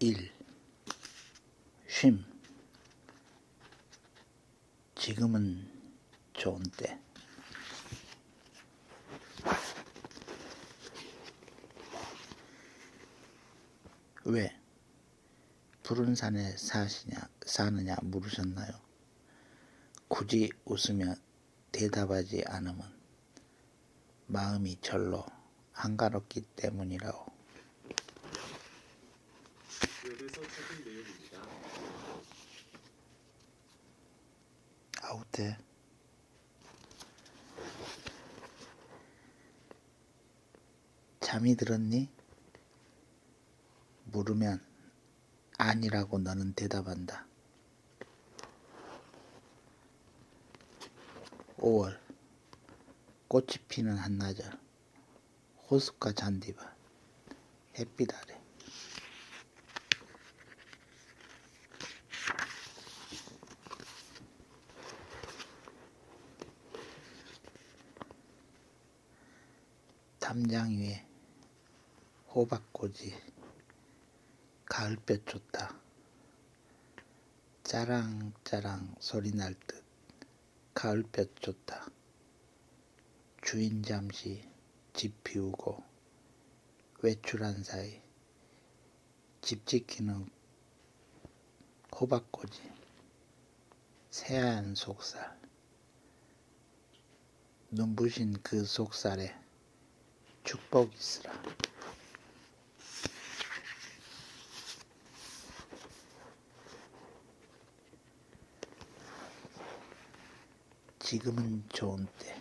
일, 쉼. 지금은 좋은 때. 왜? 푸른 산에 사시냐, 사느냐 물으셨나요? 굳이 웃으며 대답하지 않으면 마음이 절로 한가롭기 때문이라고. 아웃돼. 잠이 들었니? 물으면 아니라고 너는 대답한다. 5월 꽃이 피는 한나절 호숫가 잔디밭 햇빛 아래 담장 위에 호박꽂이 가을볕 좋다 짜랑짜랑 소리 날 듯 가을볕 좋다 주인 잠시 집 비우고 외출한 사이 집 지키는 호박꽂이 새한 속살, 눈부신 그 속살에 축복이 있으라. 지금은 좋은 때.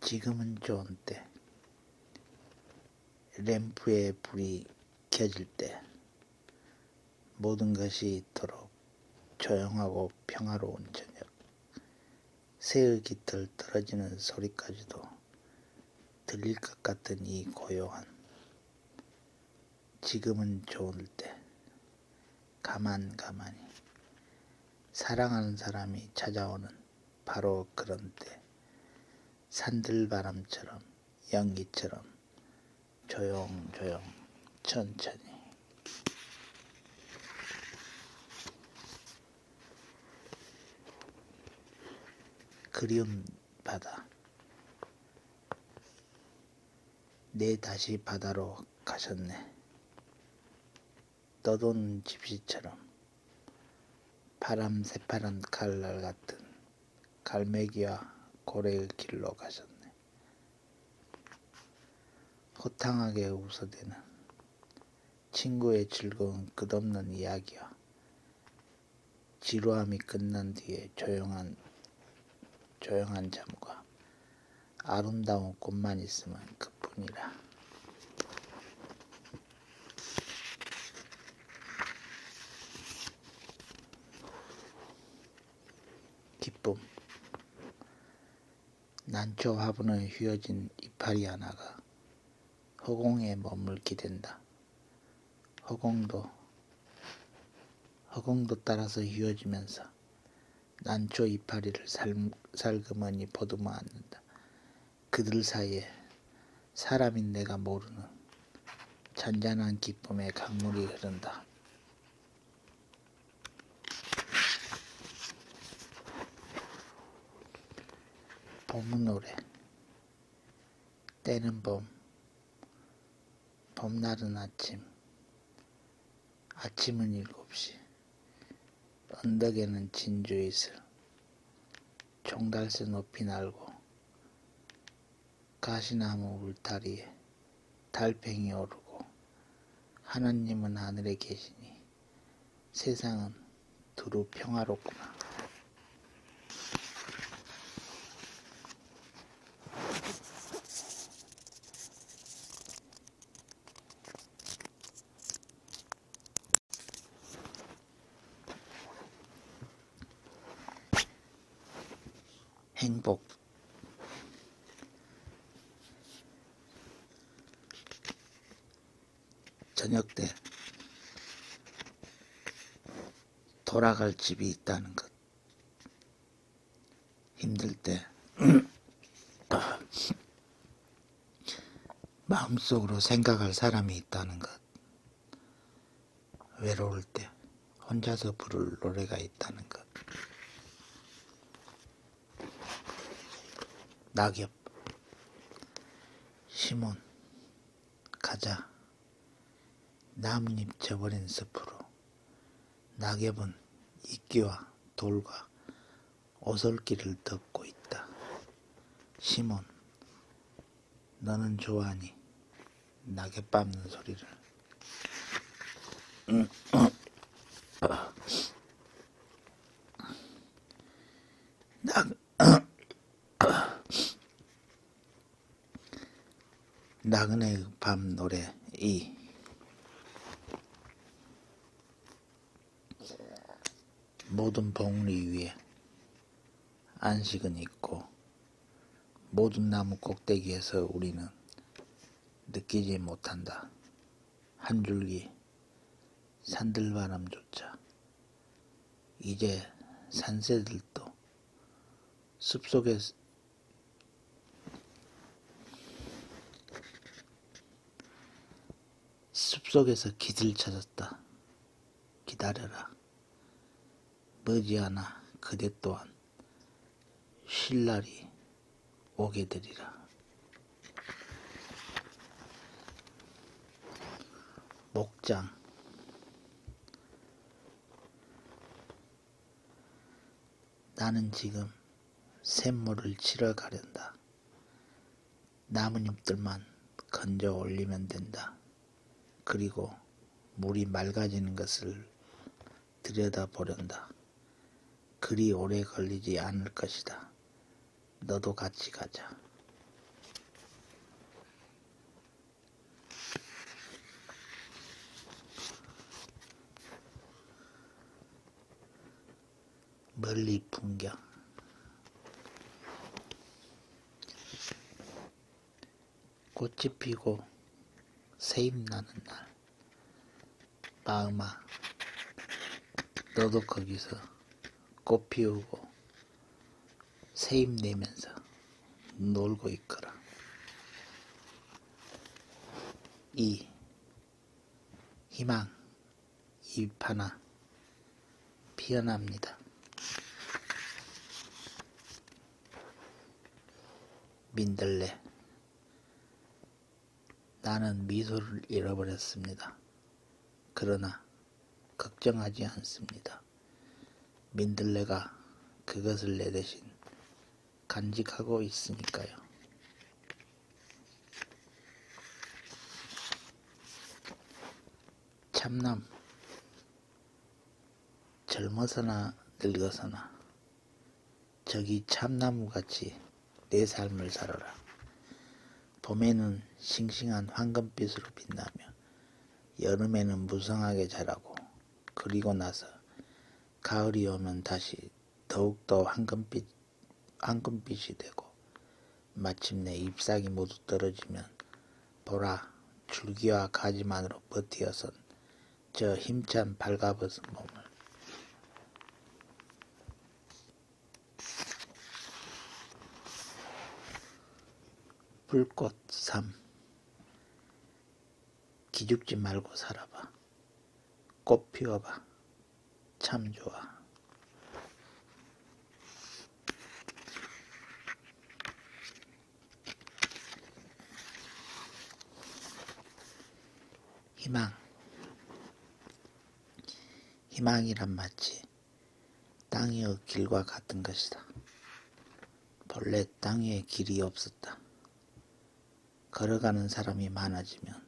지금은 좋은 때. 램프의 불이 켜질 때 모든 것이 있도록 조용하고 평화로운 저녁 새의 깃털 떨어지는 소리까지도 들릴 것 같은 이 고요한 지금은 좋을 때 가만 가만히 사랑하는 사람이 찾아오는 바로 그런 때 산들바람처럼 연기처럼 조용조용 천천히 그리운 바다 내 다시 바다로 가셨네 떠도는 집시처럼 파람 새파란 칼날 같은 갈매기와 고래의 길로 가셨네. 호탕하게 웃어대는 친구의 즐거운 끝없는 이야기와 지루함이 끝난 뒤에 조용한 조용한 잠과 아름다운 꽃만 있으면 그뿐이라. 기쁨 난초 화분에 휘어진 이파리 하나가 허공에 머물게 된다. 허공도 허공도 따라서 휘어지면서 난초 이파리를 살, 살그머니 보듬어 안는다. 그들 사이에 사람인 내가 모르는 잔잔한 기쁨의 강물이 흐른다. 봄은 노래 때는 봄 봄날은 아침 아침은 일곱 시 언덕에는 진주이슬 종달새 높이 날고 가시나무 울타리에 달팽이 오르고 하나님은 하늘에 계시니 세상은 두루 평화롭구나. 행복 저녁 때 돌아갈 집이 있다는 것 힘들 때 마음속으로 생각할 사람이 있다는 것. 외로울 때 혼자서 부를 노래가 있다는 것. 낙엽, 시몬, 가자. 나뭇잎 져버린 숲으로. 낙엽은 이끼와 돌과 오솔길을 덮고 있다. 시몬, 너는 좋아하니 낙에 빱는 소리를 낙 나그네 밤 노래 이 모든 봉리 위에 안식은 있고 모든 나무 꼭대기에서 우리는 느끼지 못한다. 한 줄기 산들바람조차 이제 산새들도 숲속에 숲속에서 깃을 찾았다. 기다려라. 머지않아 그대 또한 실 날이 오게 되리라. 목장 나는 지금 샘물을 치러 가련다. 나뭇잎들만 건져 올리면 된다. 그리고 물이 맑아지는 것을 들여다보련다. 그리 오래 걸리지 않을 것이다. 너도 같이 가자. 멀리 풍경 꽃이 피고 새임나는 날 마음아 너도 거기서 꽃 피우고 새임 내면서 놀고 있거라 2. 희망 잎 하나 피어납니다. 민들레 나는 미소를 잃어버렸습니다. 그러나 걱정하지 않습니다. 민들레가 그것을 내 대신 간직하고 있으니까요. 참남 젊어서나 늙어서나 저기 참나무같이 내 삶을 살아라. 봄에는 싱싱한 황금빛으로 빛나며 여름에는 무성하게 자라고 그리고 나서 가을이 오면 다시 더욱더 황금빛, 황금빛이 되고 마침내 잎사귀 모두 떨어지면 보라 줄기와 가지만으로 버티어선 저 힘찬 발가벗은 몸을 불꽃 3 기죽지 말고 살아봐 꽃 피워봐 참 좋아 희망 희망이란 마치 땅이여 길과 같은 것이다. 본래 땅 위에 길이 없었다. 걸어가는 사람이 많아지면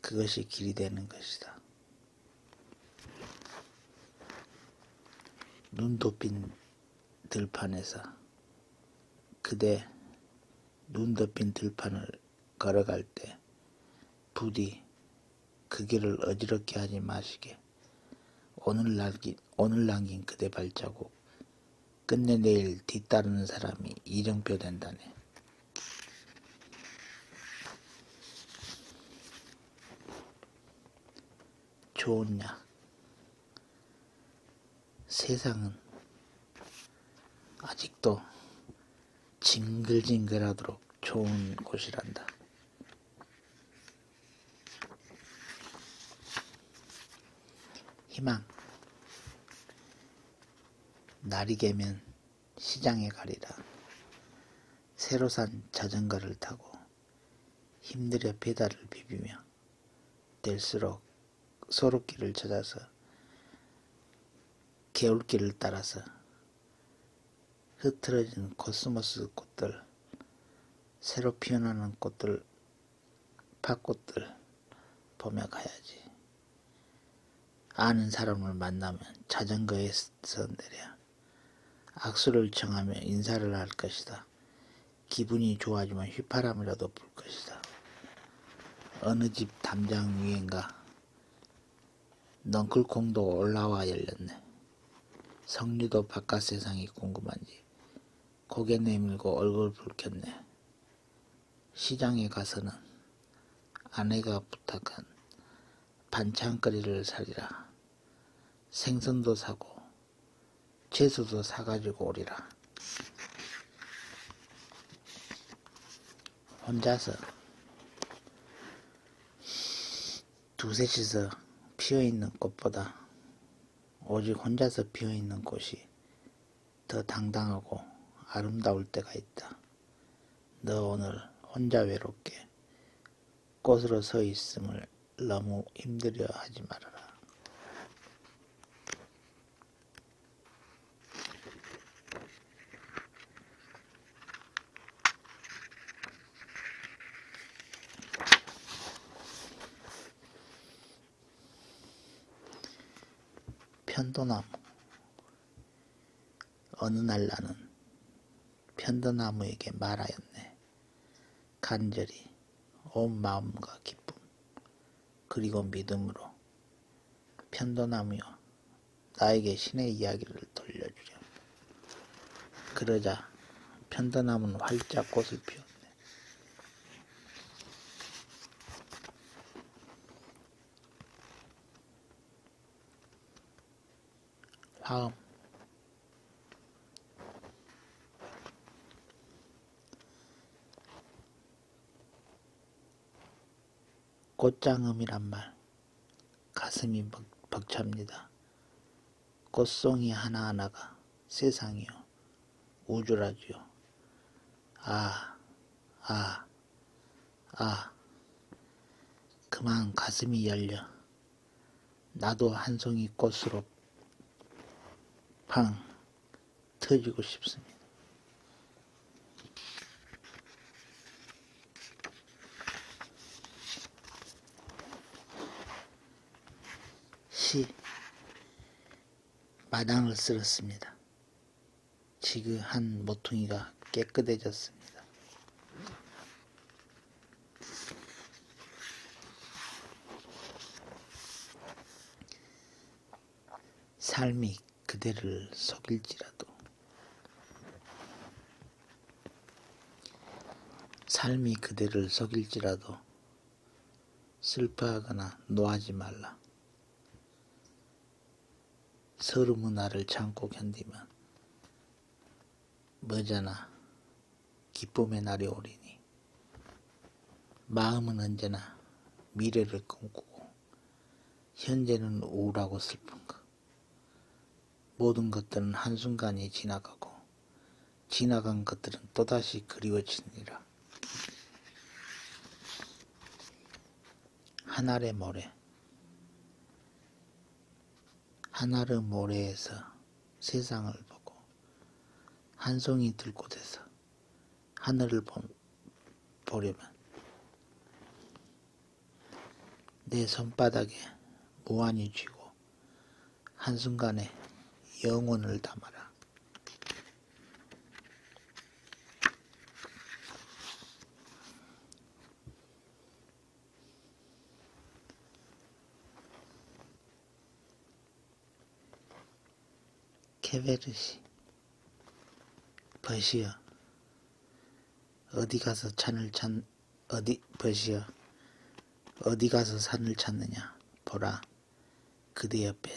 그것이 길이 되는 것이다. 눈 덮인 들판에서 그대 눈 덮인 들판을 걸어갈 때 부디 그 길을 어지럽게 하지 마시게 오늘 남긴, 오늘 남긴 그대 발자국 끝내 내일 뒤따르는 사람이 이정표 된다네. 좋냐? 세상은 아직도 징글징글하도록 좋은 곳이란다. 희망. 날이 개면 시장에 가리라. 새로 산 자전거를 타고 힘들여 페달을 비비며 뗄수록 소로길을 찾아서 개울길을 따라서 흐트러진 코스모스 꽃들, 새로 피어나는 꽃들, 팥꽃들 보며 가야지. 아는 사람을 만나면 자전거에서 내려 악수를 청하며 인사를 할 것이다. 기분이 좋아지면 휘파람이라도 불 것이다. 어느 집 담장 위엔가 넝쿨콩도 올라와 열렸네. 성리도 바깥 세상이 궁금한지 고개 내밀고 얼굴 붉혔네. 시장에 가서는 아내가 부탁한 반찬거리를 사리라. 생선도 사고 채소도 사가지고 오리라. 혼자서 두셋이서 피어있는 꽃보다 오직 혼자서 피어있는 꽃이 더 당당하고 아름다울 때가 있다. 너 오늘 혼자 외롭게 꼬스러 서 있음을 너무 힘들어 하지 말아라. 편도나무 어느 날 나는 편도나무에게 말하였네. 간절히 온 마음과 기쁨 그리고 믿음으로 편도나무여 나에게 신의 이야기를 돌려주렴. 그러자 편도나무는 활짝 꽃을 피웠네. 화음 꽃장음이란 말 가슴이 벅, 벅찹니다. 꽃송이 하나하나가 세상이요 우주라지요 아, 아, 아. 그만 가슴이 열려 나도 한송이 꽃으로 팡 터지고 싶습니다. 시 마당을 쓸었습니다. 지그한 모퉁이가 깨끗해졌습니다. 삶이 그대를 속일지라도 삶이 그대를 속일지라도 슬퍼하거나 노하지 말라. 서름의 나를 참고 견디면 머잖아 기쁨의 날이 오리니 마음은 언제나 미래를 꿈꾸고 현재는 우울하고 슬픈 것 모든 것들은 한순간이 지나가고 지나간 것들은 또다시 그리워지니라 하늘의 모래 하나를 모래에서 세상을 보고 한 송이 들꽃에서 하늘을 보, 보려면 내 손바닥에 무한히 쥐고 한순간에 영혼을 담아라. 케베르시 버시어 어디 가서 산을 찾 어디 버시어 어디 가서 산을 찾느냐 보라 그대 옆에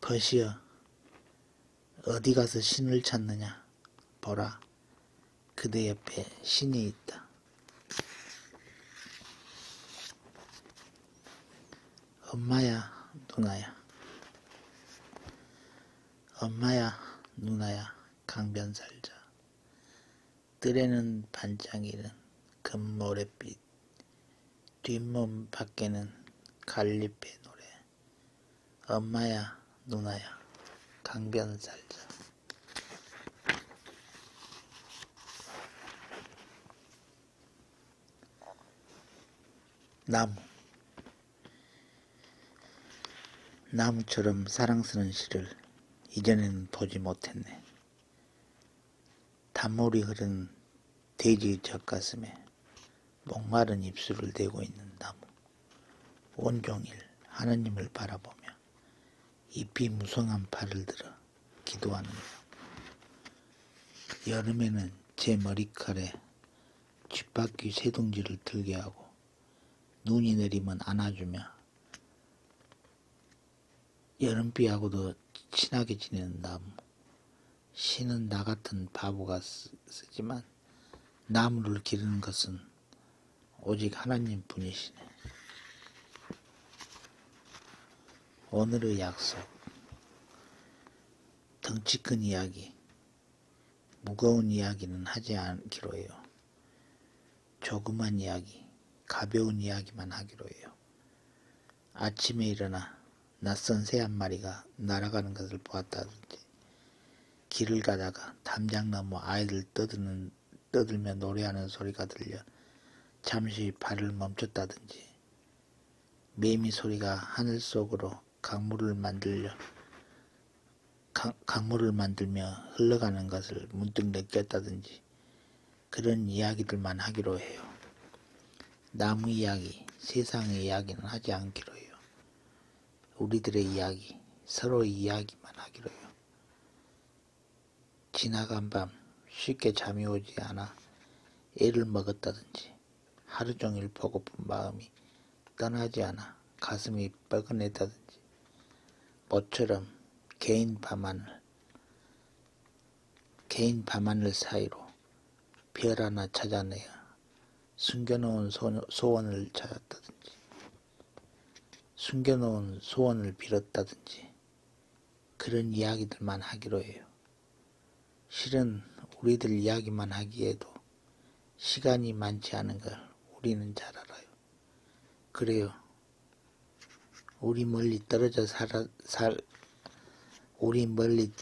버시어 어디 가서 신을 찾느냐? 보라, 그대 옆에 신이 있다. 엄마야, 누나야. 엄마야, 누나야, 강변살자. 뜰에는 반짝이는 금모래빛, 뒷몸 밖에는 갈잎의 노래. 엄마야, 누나야, 강변 살자. 나무 나무처럼 사랑스러운 시를 이전에는 보지 못했네. 단물이 흐른 돼지 젖가슴에 목마른 입술을 대고 있는 나무. 온종일 하나님을 바라보며 잎이 무성한 팔을 들어 기도하는 것. 여름에는 제 머리칼에 쥐바퀴 세둥지를 들게 하고 눈이 내리면 안아주며 여름비하고도 친하게 지내는 나무. 신은 나 같은 바보가 쓰지만 나무를 기르는 것은 오직 하나님 뿐이시네. 오늘의 약속, 덩치 큰 이야기, 무거운 이야기는 하지 않기로 해요. 조그만 이야기, 가벼운 이야기만 하기로 해요. 아침에 일어나 낯선 새 한 마리가 날아가는 것을 보았다든지 길을 가다가 담장 너머 아이들 떠드는, 떠들며 노래하는 소리가 들려 잠시 발을 멈췄다든지 매미 소리가 하늘 속으로 강물을 만들려 강, 강물을 만들며 흘러가는 것을 문득 느꼈다든지 그런 이야기들만 하기로 해요. 나무 이야기, 세상의 이야기는 하지 않기로 해요. 우리들의 이야기, 서로의 이야기만 하기로요. 지나간 밤 쉽게 잠이 오지 않아 애를 먹었다든지 하루 종일 보고픈 마음이 떠나지 않아 가슴이 뻐근했다든지 모처럼 개인 밤하늘 개인 밤하늘 사이로 별 하나 찾아내야 숨겨놓은 소원을 찾았다든지, 숨겨놓은 소원을 빌었다든지, 그런 이야기들만 하기로 해요. 실은 우리들 이야기만 하기에도 시간이 많지 않은 걸 우리는 잘 알아요. 그래요. 우리 멀리 떨어져 살아, 살, 우리 멀리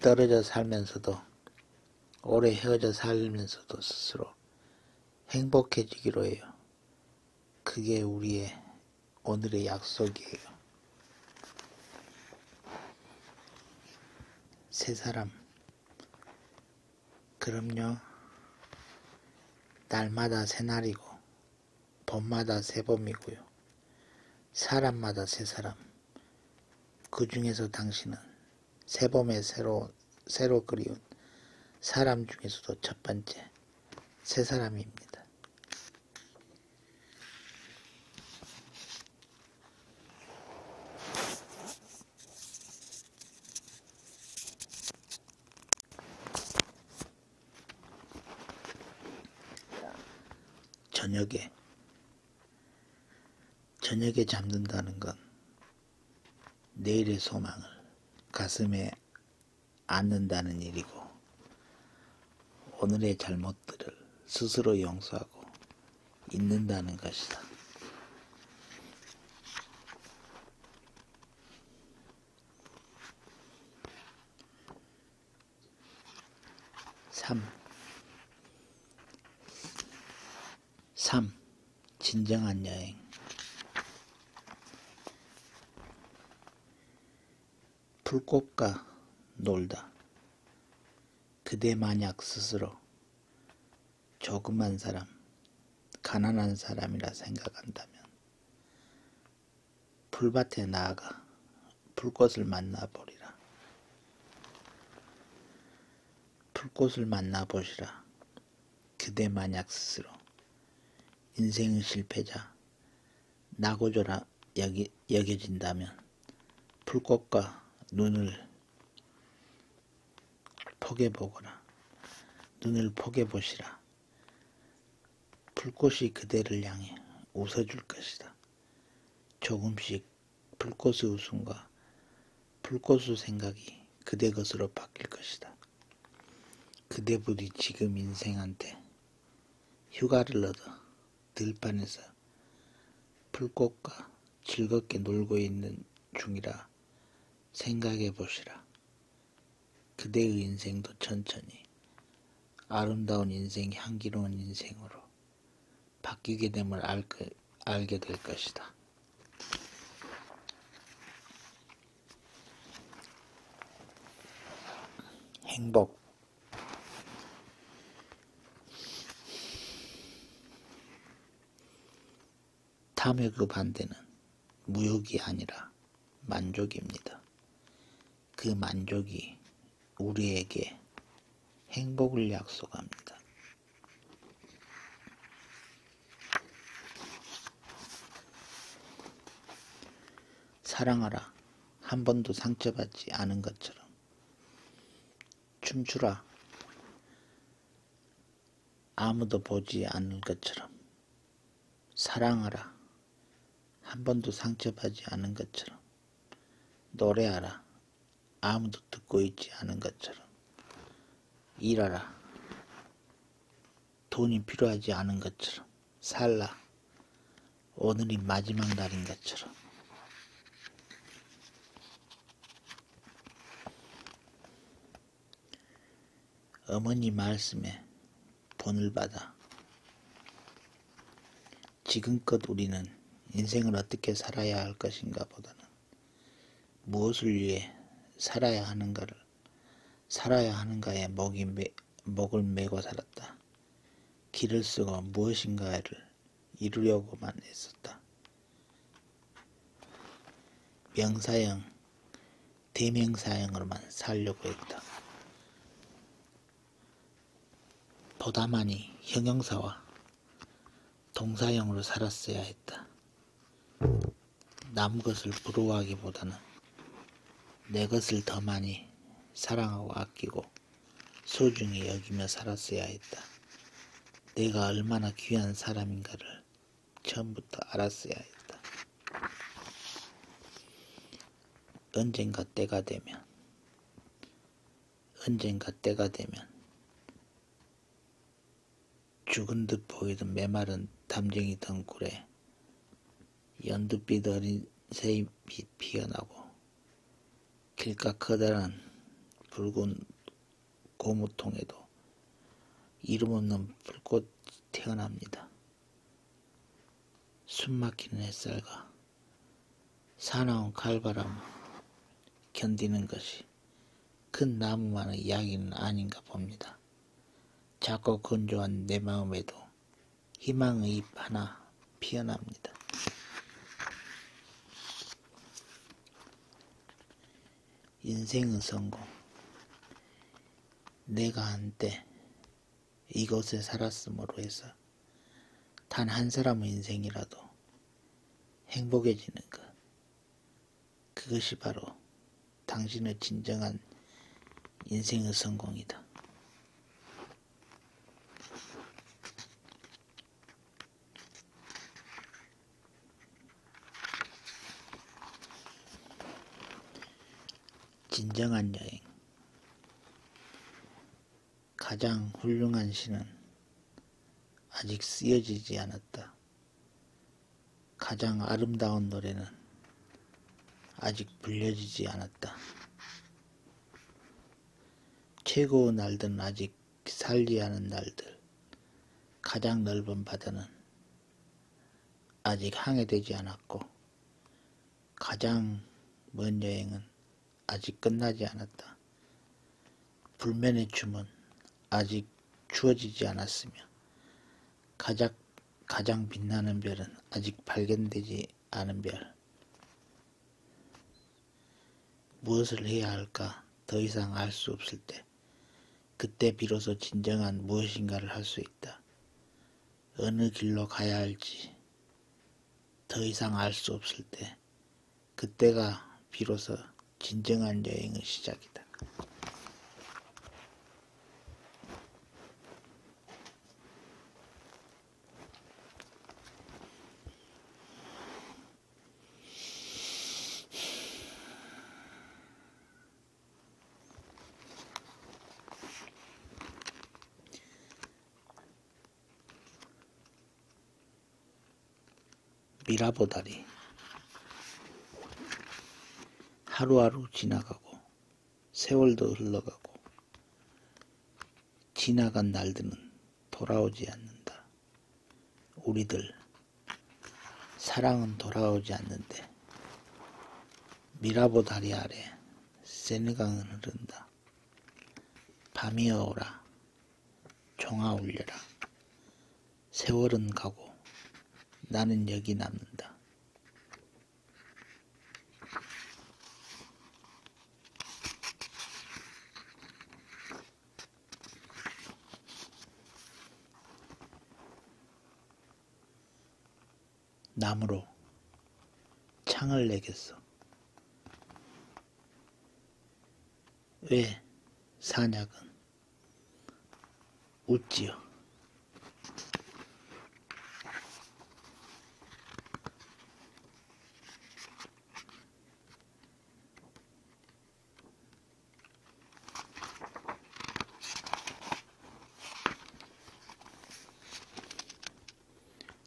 떨어져 살면서도 오래 헤어져 살면서도 스스로 행복해지기로 해요. 그게 우리의 오늘의 약속이에요. 세 사람. 그럼요. 날마다 새 날이고, 봄마다 새 봄이고요. 사람마다 새 사람. 그 중에서 당신은 새봄에 새로 새로 그리운 사람 중에서도 첫 번째 새 사람입니다. 저녁에 저녁에 잠든다는 건 내일의 소망을 가슴에 안는다는 일이고 오늘의 잘못들을 스스로 용서하고 잊는다는 것이다. 삼 3. 진정한 여행 불꽃과 놀다 그대 만약 스스로 조그만 사람, 가난한 사람이라 생각한다면 풀밭에 나아가 불꽃을 만나보리라. 풀꽃을 만나보시라. 그대 만약 스스로 인생의 실패자 나고조라 여기, 여겨진다면 풀꽃과 눈을 포개 보거라. 눈을 포개 보시라. 불꽃이 그대를 향해 웃어줄 것이다. 조금씩 불꽃의 웃음과 불꽃의 생각이 그대 것으로 바뀔 것이다. 그대 부디 지금 인생한테 휴가를 얻어 들판에서 불꽃과 즐겁게 놀고 있는 중이라 생각해 보시라. 그대의 인생도 천천히 아름다운 인생, 향기로운 인생으로 바뀌게 됨을 그, 알게 될 것이다. 행복 탐의 그 반대는 무욕이 아니라 만족입니다. 그 만족이 우리에게 행복을 약속합니다. 사랑하라. 한 번도 상처받지 않은 것처럼. 춤추라. 아무도 보지 않을 것처럼. 사랑하라. 한 번도 상처받지 않은 것처럼. 노래하라. 아무도 듣고 있지 않은 것처럼 일하라. 돈이 필요하지 않은 것처럼 살라. 오늘이 마지막 날인 것처럼 어머니 말씀에 본을 받아 지금껏 우리는 인생을 어떻게 살아야 할 것인가 보다는 무엇을 위해 살아야 하는가를 살아야 하는가에 먹이 매, 먹을 메고 살았다. 길을 쓰고 무엇인가를 이루려고만 했었다. 명사형, 대명사형으로만 살려고 했다. 보다 많이 형용사와 동사형으로 살았어야 했다. 남 것을 부러워하기보다는 내 것을 더 많이 사랑하고 아끼고 소중히 여기며 살았어야 했다. 내가 얼마나 귀한 사람인가를 처음부터 알았어야 했다. 언젠가 때가 되면, 언젠가 때가 되면 죽은 듯 보이던 메마른 담쟁이 덩굴에 연두빛 어린 새잎이 피어나고 길가 커다란 붉은 고무통에도 이름 없는 불꽃 태어납니다. 숨막히는 햇살과 사나운 칼바람 견디는 것이 큰 그 나무만의 이야기는 아닌가 봅니다. 작고 건조한 내 마음에도 희망의 잎 하나 피어납니다. 인생은 성공. 내가 한때 이곳에 살았음으로 해서 단 한 사람의 인생이라도 행복해지는 것. 그것이 바로 당신의 진정한 인생의 성공이다. 진정한 여행. 가장 훌륭한 시는 아직 쓰여지지 않았다. 가장 아름다운 노래는 아직 불려지지 않았다. 최고 날들은 아직 살지 않은 날들. 가장 넓은 바다는 아직 항해되지 않았고 가장 먼 여행은 아직 끝나지 않았다. 불면의 춤은 아직 주어지지 않았으며 가장, 가장 빛나는 별은 아직 발견되지 않은 별. 무엇을 해야 할까 더 이상 알 수 없을 때 그때 비로소 진정한 무엇인가를 할 수 있다. 어느 길로 가야 할지 더 이상 알 수 없을 때 그때가 비로소 진정한 여행의 시작이다. 미라보다리 하루하루 지나가고 세월도 흘러가고 지나간 날들은 돌아오지 않는다. 우리들 사랑은 돌아오지 않는데 미라보 다리 아래 세느강은 흐른다. 밤이 오라 종아 울려라. 세월은 가고 나는 여기 남는다. 나무로 창을 내겠어. 왜 산약은 웃지요.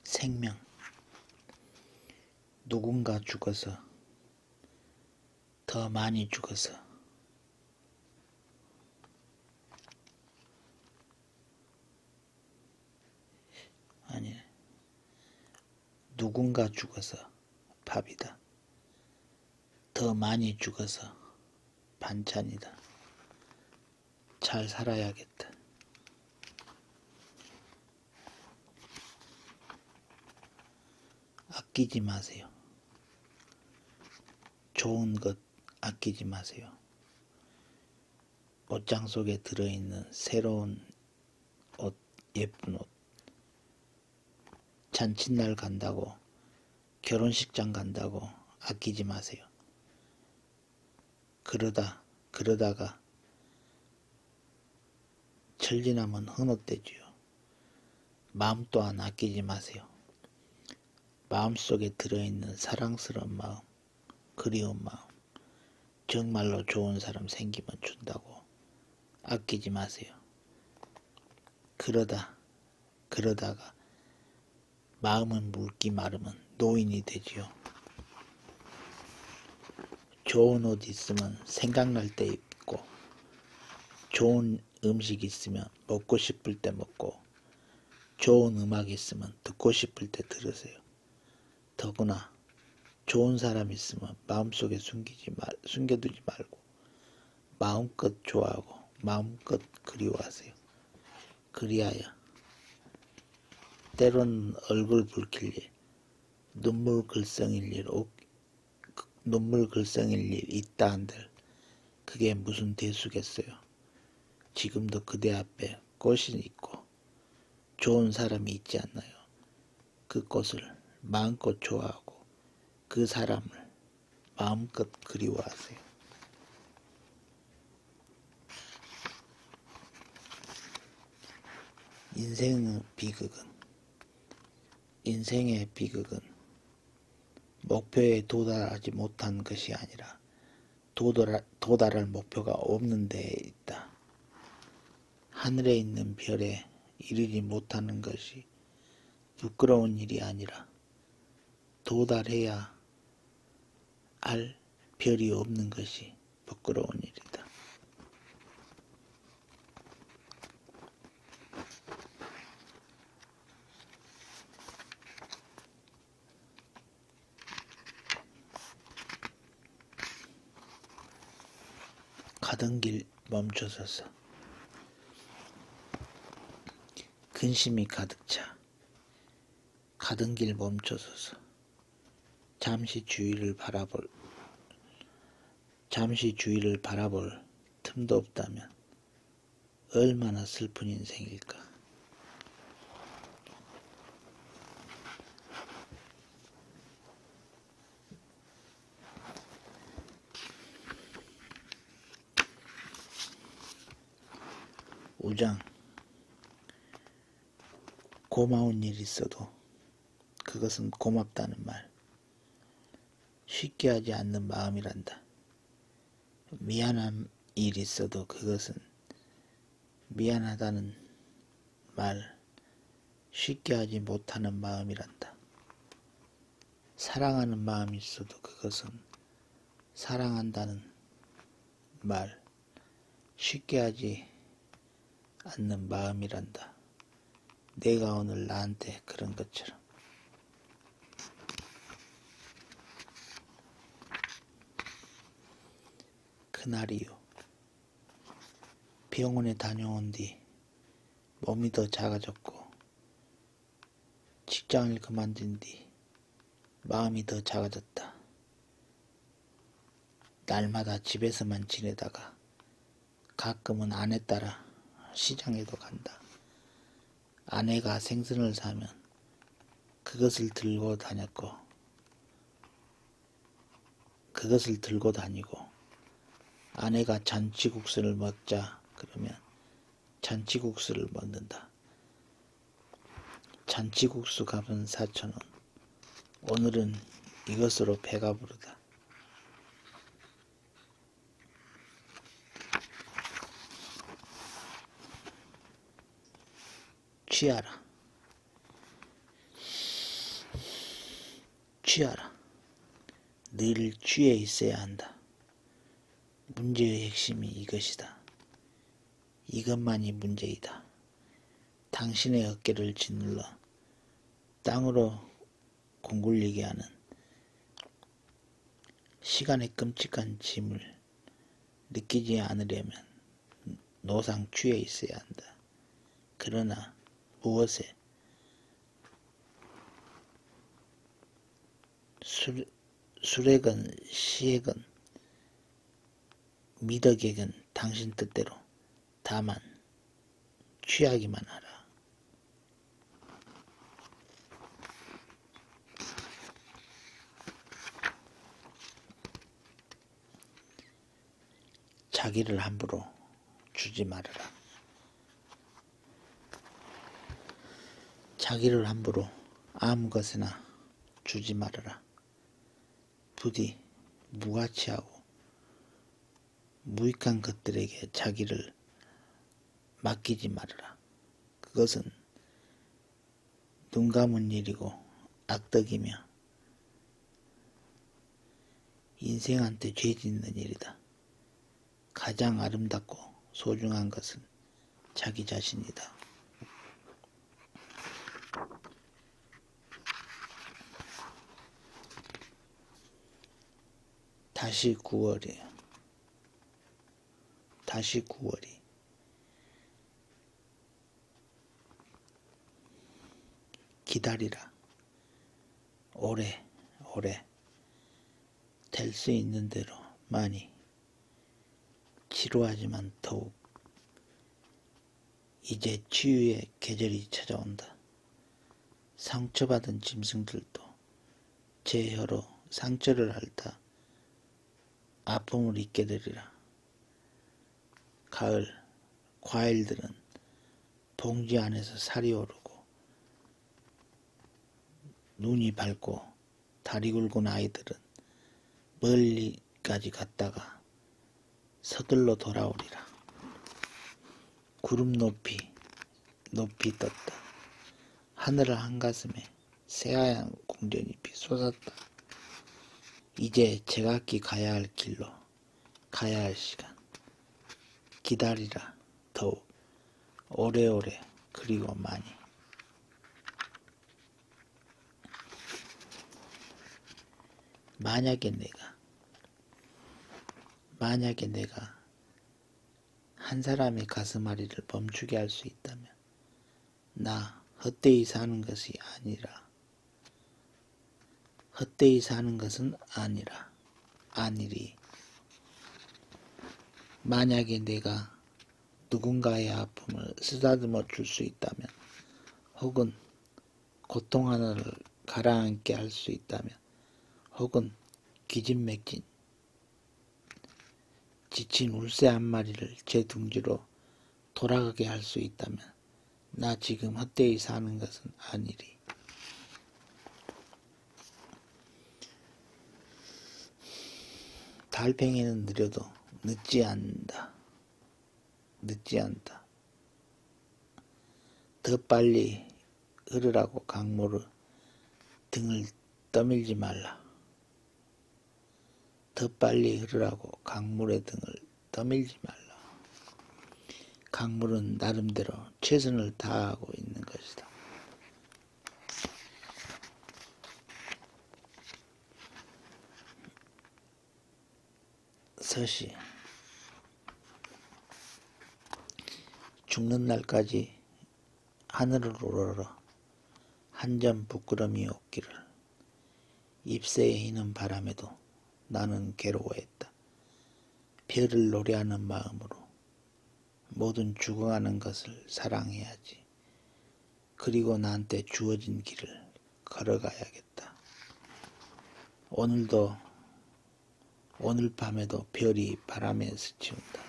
생명 누군가 죽어서 더 많이 죽어서 아니 누군가 죽어서 밥이다 더 많이 죽어서 반찬이다 잘 살아야겠다 아끼지 마세요. 좋은 것 아끼지 마세요. 옷장 속에 들어있는 새로운 옷, 예쁜 옷. 잔칫날 간다고, 결혼식장 간다고 아끼지 마세요. 그러다, 그러다가 천리남은 헌업되지요. 마음 또한 아끼지 마세요. 마음속에 들어있는 사랑스러운 마음, 그리운 마음, 정말로 좋은 사람 생기면 준다고 아끼지 마세요. 그러다, 그러다가 마음은 묽기 마르면 노인이 되지요. 좋은 옷 있으면 생각날 때 입고 좋은 음식 있으면 먹고 싶을 때 먹고 좋은 음악 있으면 듣고 싶을 때 들으세요. 더구나 좋은 사람 있으면 마음속에 숨기지 말, 숨겨두지 말고 마음껏 좋아하고 마음껏 그리워하세요. 그리하여 때론 얼굴 붉힐 일, 눈물 글썽일 일 없, 그, 눈물 글썽일 일 있다 한들 그게 무슨 대수겠어요. 지금도 그대 앞에 꽃이 있고 좋은 사람이 있지 않나요? 그 꽃을 마음껏 좋아하고 그 사람을 마음껏 그리워하세요. 인생의 비극은 인생의 비극은 목표에 도달하지 못한 것이 아니라 도달, 도달할 목표가 없는 데에 있다. 하늘에 있는 별에 이르지 못하는 것이 부끄러운 일이 아니라 도달해야 알 별이 없는 것이 부끄러운 일이다. 가던 길 멈춰서서 근심이 가득 차 가던 길 멈춰서서 잠시 주위를 바라볼 잠시 주위를 바라볼 틈도 없다면 얼마나 슬픈 인생일까. 우장 고마운 일 있어도 그것은 고맙다는 말. 쉽게 하지 않는 마음이란다. 미안한 일 있어도 그것은 미안하다는 말 쉽게 하지 못하는 마음이란다. 사랑하는 마음이 있어도 그것은 사랑한다는 말 쉽게 하지 않는 마음이란다. 내가 오늘 나한테 그런 것처럼. 그날이요. 병원에 다녀온 뒤 몸이 더 작아졌고 직장을 그만둔 뒤 마음이 더 작아졌다. 날마다 집에서만 지내다가 가끔은 아내 따라 시장에도 간다. 아내가 생선을 사면 그것을 들고 다녔고 그것을 들고 다니고 아내가 잔치국수를 먹자 그러면 잔치국수를 먹는다. 잔치국수 값은 4천원 오늘은 이것으로 배가 부르다. 취하라. 취하라. 늘 취해 있어야 한다. 문제의 핵심이 이것이다. 이것만이 문제이다. 당신의 어깨를 짓눌러 땅으로 공굴리게 하는 시간의 끔찍한 짐을 느끼지 않으려면 노상 취해 있어야 한다. 그러나 무엇에 술, 술액은 시액은 미덕액은 당신 뜻대로 다만 취하기만 하라. 자기를 함부로 주지 말아라. 자기를 함부로 아무것이나 주지 말아라. 부디 무가치하고 무익한 것들에게 자기를 맡기지 말아라. 그것은 눈 감은 일이고 악덕이며 인생한테 죄 짓는 일이다. 가장 아름답고 소중한 것은 자기 자신이다. 다시 9월이에요. 다시 9월이. 기다리라. 오래, 오래. 될 수 있는 대로 많이. 지루하지만 더욱 이제 치유의 계절이 찾아온다. 상처받은 짐승들도 제 혀로 상처를 핥아 아픔을 잊게 되리라. 가을 과일들은 봉지 안에서 살이 오르고 눈이 밝고 다리 굵은 아이들은 멀리까지 갔다가 서둘러 돌아오리라. 구름 높이 높이 떴다. 하늘을 한가슴에 새하얀 공전잎이 솟았다. 이제 제각기 가야 할 길로 가야 할 시간 기다리라 더욱 오래오래 그리고 많이 만약에 내가 만약에 내가 한 사람의 가슴앓이를 멈추게 할 수 있다면 나 헛되이 사는 것이 아니라 헛되이 사는 것은 아니라 아니리 만약에 내가 누군가의 아픔을 쓰다듬어 줄 수 있다면 혹은 고통 하나를 가라앉게 할 수 있다면 혹은 기진맥진 지친 울새 한 마리를 제 둥지로 돌아가게 할 수 있다면 나 지금 헛되이 사는 것은 아니리. 달팽이는 느려도 늦지 않는다. 늦지 않다. 더 빨리 흐르라고 강물을 등을 떠밀지 말라. 더 빨리 흐르라고 강물의 등을 떠밀지 말라. 강물은 나름대로 최선을 다하고 있는 것이다. 서시 죽는 날까지 하늘을 우러러 한 점 부끄럼이 없기를 잎새에 희는 바람에도 나는 괴로워했다. 별을 노래하는 마음으로 모든 죽어가는 것을 사랑해야지. 그리고 나한테 주어진 길을 걸어가야겠다. 오늘도 오늘 밤에도 별이 바람에 스치운다.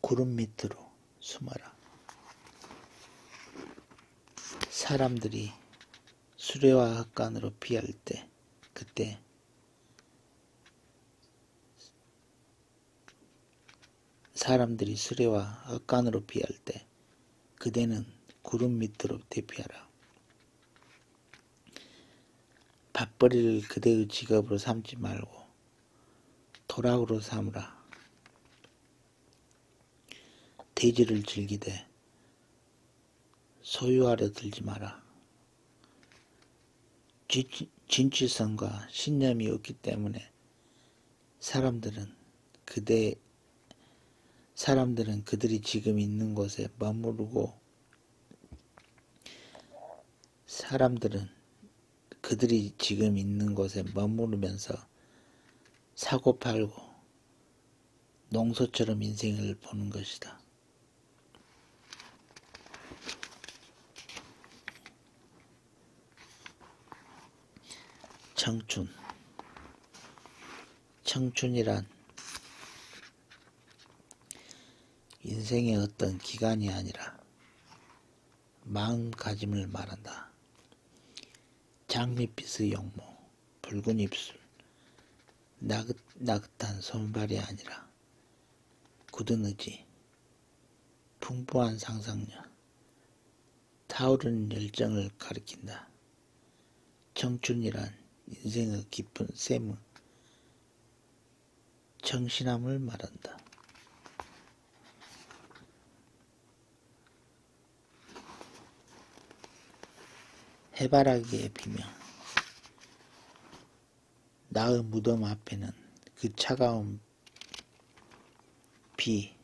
구름 밑으로 숨어라. 사람들이 수레와 학관으로 피할 때 그때 사람들이 수레와 악간으로 피할 때 그대는 구름 밑으로 대피하라. 밥벌이를 그대의 직업으로 삼지 말고 도락으로 삼으라. 돼지를 즐기되 소유하려 들지 마라. 진취성과 신념이 없기 때문에 사람들은 그대 사람들은 그들이 지금 있는 곳에 머무르고 사람들은 그들이 지금 있는 곳에 머무르면서 사고팔고 농소처럼 인생을 보는 것이다. 창춘 창춘이란 인생의 어떤 기간이 아니라 마음가짐을 말한다. 장밋빛의 영모, 붉은 입술, 나긋, 나긋한 손발이 아니라 굳은 의지, 풍부한 상상력, 타오르는 열정을 가리킨다. 청춘이란 인생의 깊은 샘의 청신함을 말한다. 해바라기의 비명 나의 무덤 앞에는 그 차가운 B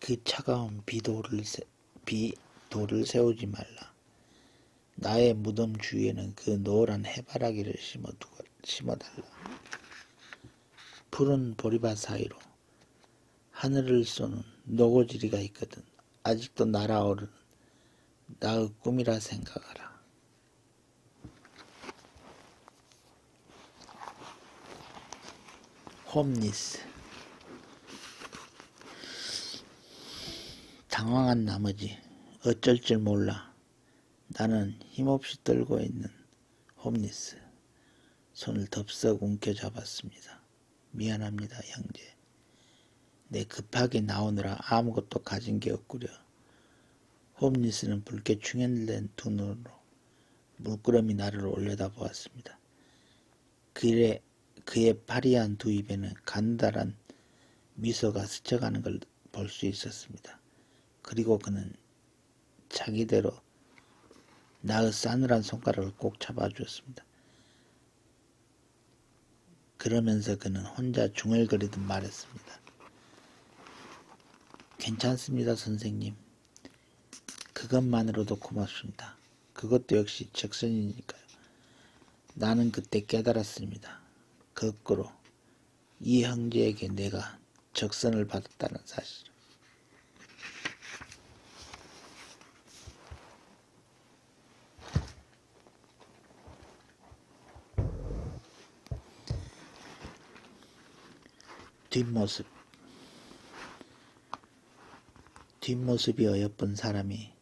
그 차가운 비도를 세, 비도를 세우지 말라. 나의 무덤 주위에는 그 노란 해바라기를 심어두고, 심어달라. 푸른 보리밭 사이로 하늘을 쏘는 노고지리가 있거든. 아직도 날아오르는 나의 꿈이라 생각하라. 홈리스 당황한 나머지 어쩔 줄 몰라 나는 힘없이 떨고 있는 홈리스 손을 덥석 움켜잡았습니다. 미안합니다, 형제. 내 급하게 나오느라 아무것도 가진 게 없구려. 홈리스는 붉게 충혈된 두 눈으로 물끄러미 나를 올려다보았습니다. 그의, 그의 파리한 두 입에는 간단한 미소가 스쳐가는 걸 볼 수 있었습니다. 그리고 그는 자기대로 나의 싸늘한 손가락을 꼭 잡아주었습니다. 그러면서 그는 혼자 중얼거리듯 말했습니다. 괜찮습니다, 선생님. 그것만으로도 고맙습니다. 그것도 역시 적선이니까요. 나는 그때 깨달았습니다. 거꾸로 이 형제에게 내가 적선을 받았다는 사실. 뒷모습 뒷모습이 어여쁜 사람이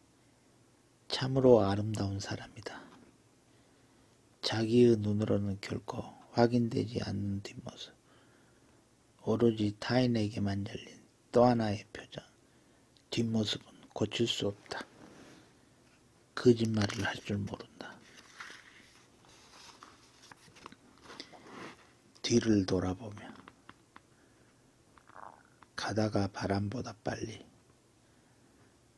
참으로 아름다운 사람이다. 자기의 눈으로는 결코 확인되지 않는 뒷모습 오로지 타인에게만 열린 또 하나의 표정. 뒷모습은 고칠 수 없다. 거짓말을 할 줄 모른다. 뒤를 돌아보며 가다가 바람보다 빨리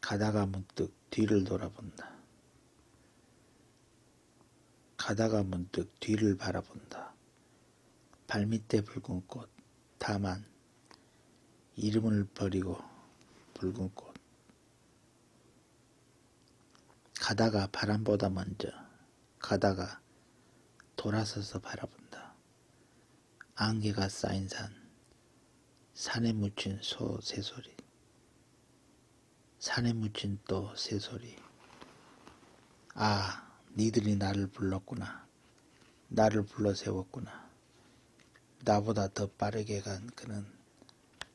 가다가 문득 뒤를 돌아본다. 가다가 문득 뒤를 바라본다. 발밑에 붉은 꽃, 다만 이름을 버리고 붉은 꽃 가다가 바람보다 먼저 가다가 돌아서서 바라본다. 안개가 쌓인 산 산에 묻힌 소 새소리 산에 묻힌 또 새소리 아 니들이 나를 불렀구나 나를 불러 세웠구나. 나보다 더 빠르게 간 그는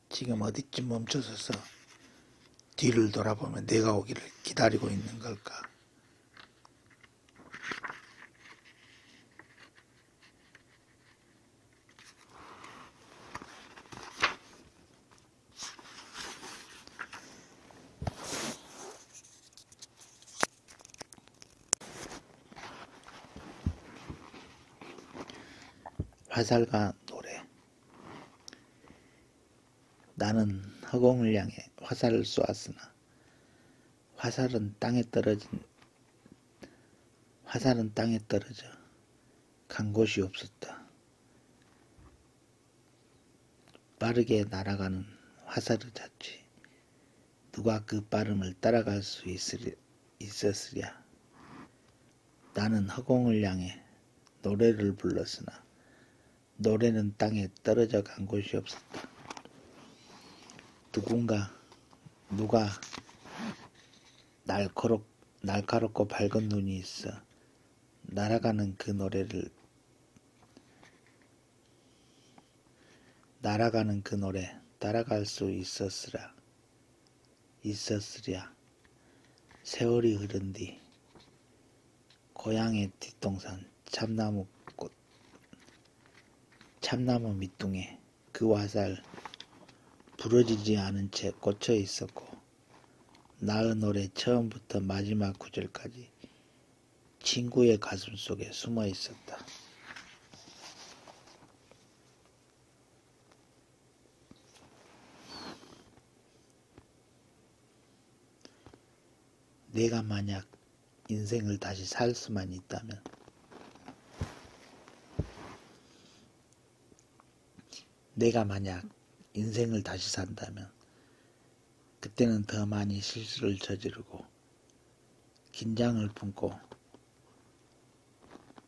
지금 어디쯤 멈춰서서 뒤를 돌아보면 내가 오기를 기다리고 있는 걸까? 화살과 노래 나는 허공을 향해 화살을 쏘았으나 화살은 땅에 떨어진 화살은 땅에 떨어져 간 곳이 없었다. 빠르게 날아가는 화살의 자취 누가 그 빠름을 따라갈 수 있으리, 있었으랴. 나는 허공을 향해 노래를 불렀으나 노래는 땅에 떨어져 간 곳이 없었다. 누군가 누가 날카롭, 날카롭고 밝은 눈이 있어 날아가는 그 노래를 날아가는 그 노래 따라갈 수 있었으라 있었으랴 세월이 흐른 뒤 고향의 뒷동산 참나무 꽃 참나무 밑둥에 그 화살 부러지지 않은 채 꽂혀 있었고 나의 노래 처음부터 마지막 구절까지 친구의 가슴 속에 숨어 있었다. 내가 만약 인생을 다시 살 수만 있다면 내가 만약 인생을 다시 산다면 그때는 더 많이 실수를 저지르고 긴장을 품고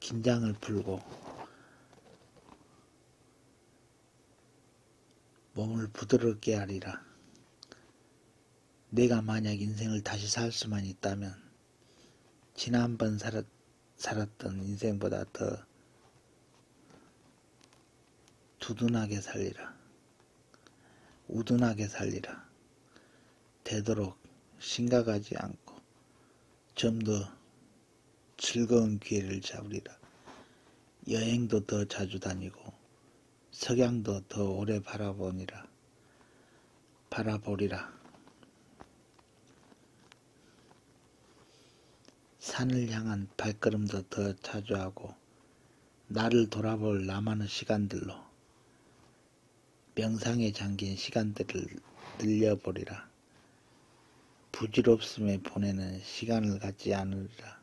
긴장을 풀고 몸을 부드럽게 하리라. 내가 만약 인생을 다시 살 수만 있다면 지난번 살았, 살았던 인생보다 더 두둔하게 살리라. 우둔하게 살리라. 되도록 심각하지 않고 좀 더 즐거운 기회를 잡으리라. 여행도 더 자주 다니고 석양도 더 오래 바라보니라. 바라보리라. 산을 향한 발걸음도 더 자주 하고 나를 돌아볼 남아는 시간들로 명상에 잠긴 시간들을 늘려버리라. 부질없음에 보내는 시간을 갖지 않으리라.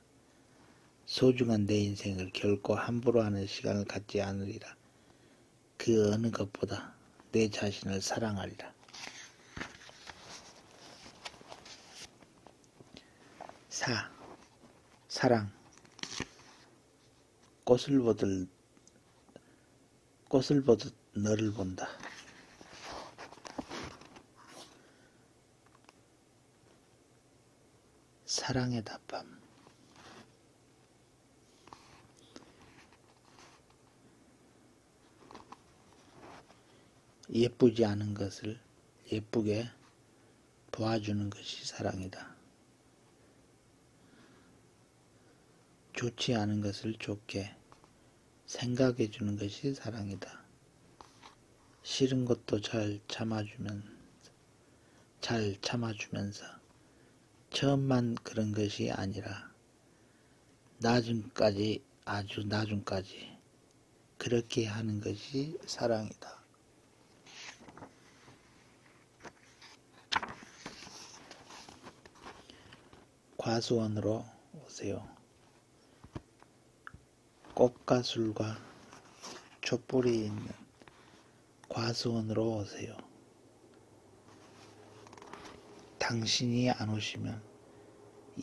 소중한 내 인생을 결코 함부로 하는 시간을 갖지 않으리라. 그 어느 것보다 내 자신을 사랑하리라. 사 사랑 꽃을 보듯 꽃을 보듯 너를 본다. 사랑의 답밤 예쁘지 않은 것을 예쁘게 보아주는 것이 사랑이다. 좋지 않은 것을 좋게 생각해 주는 것이 사랑이다. 싫은 것도 잘 참아주면 잘 참아주면서 처음만 그런 것이 아니라 나중까지 아주 나중까지 그렇게 하는 것이 사랑이다. 과수원으로 오세요. 꽃과 술과 촛불이 있는 과수원으로 오세요. 당신이 안 오시면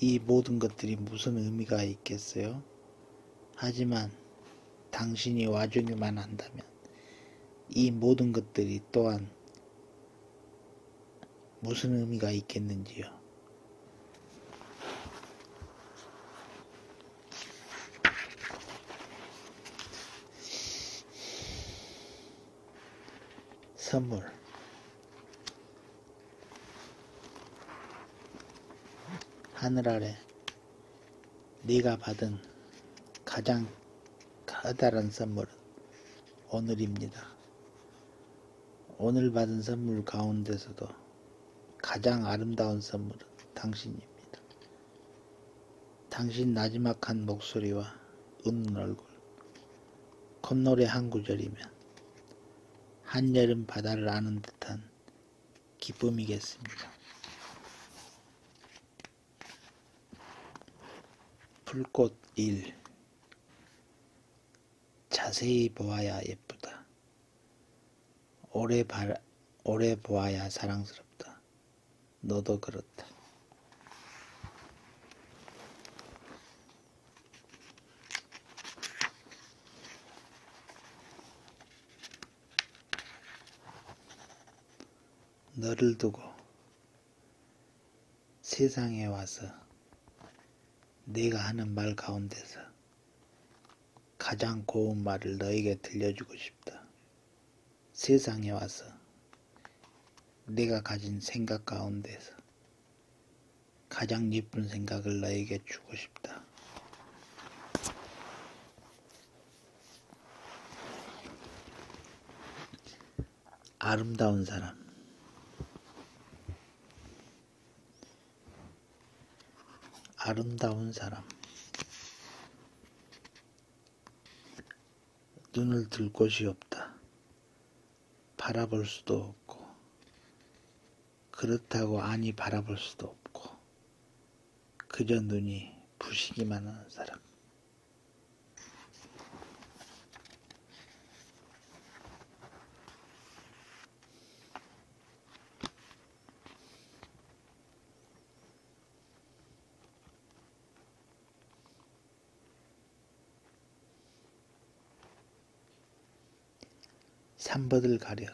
이 모든 것들이 무슨 의미가 있겠어요? 하지만 당신이 와주기만 한다면 이 모든 것들이 또한 무슨 의미가 있겠는지요. 선물 하늘 아래 네가 받은 가장 커다란 선물은 오늘입니다. 오늘 받은 선물 가운데서도 가장 아름다운 선물은 당신입니다. 당신 나지막한 목소리와 웃는 얼굴, 콧노래 한 구절이면 한여름 바다를 아는 듯한 기쁨이겠습니다. 풀꽃 1 자세히 보아야 예쁘다. 오래, 발, 오래 보아야 사랑스럽다. 너도 그렇다. 너를 두고 세상에 와서 내가 하는 말 가운데서 가장 고운 말을 너에게 들려주고 싶다. 세상에 와서 내가 가진 생각 가운데서 가장 예쁜 생각을 너에게 주고 싶다. 아름다운 사람. 아름다운 사람. 눈을 들 곳이 없다. 바라볼 수도 없고, 그렇다고 아니 바라볼 수도 없고, 그저 눈이 부시기만 하는 사람. 삼버들 가려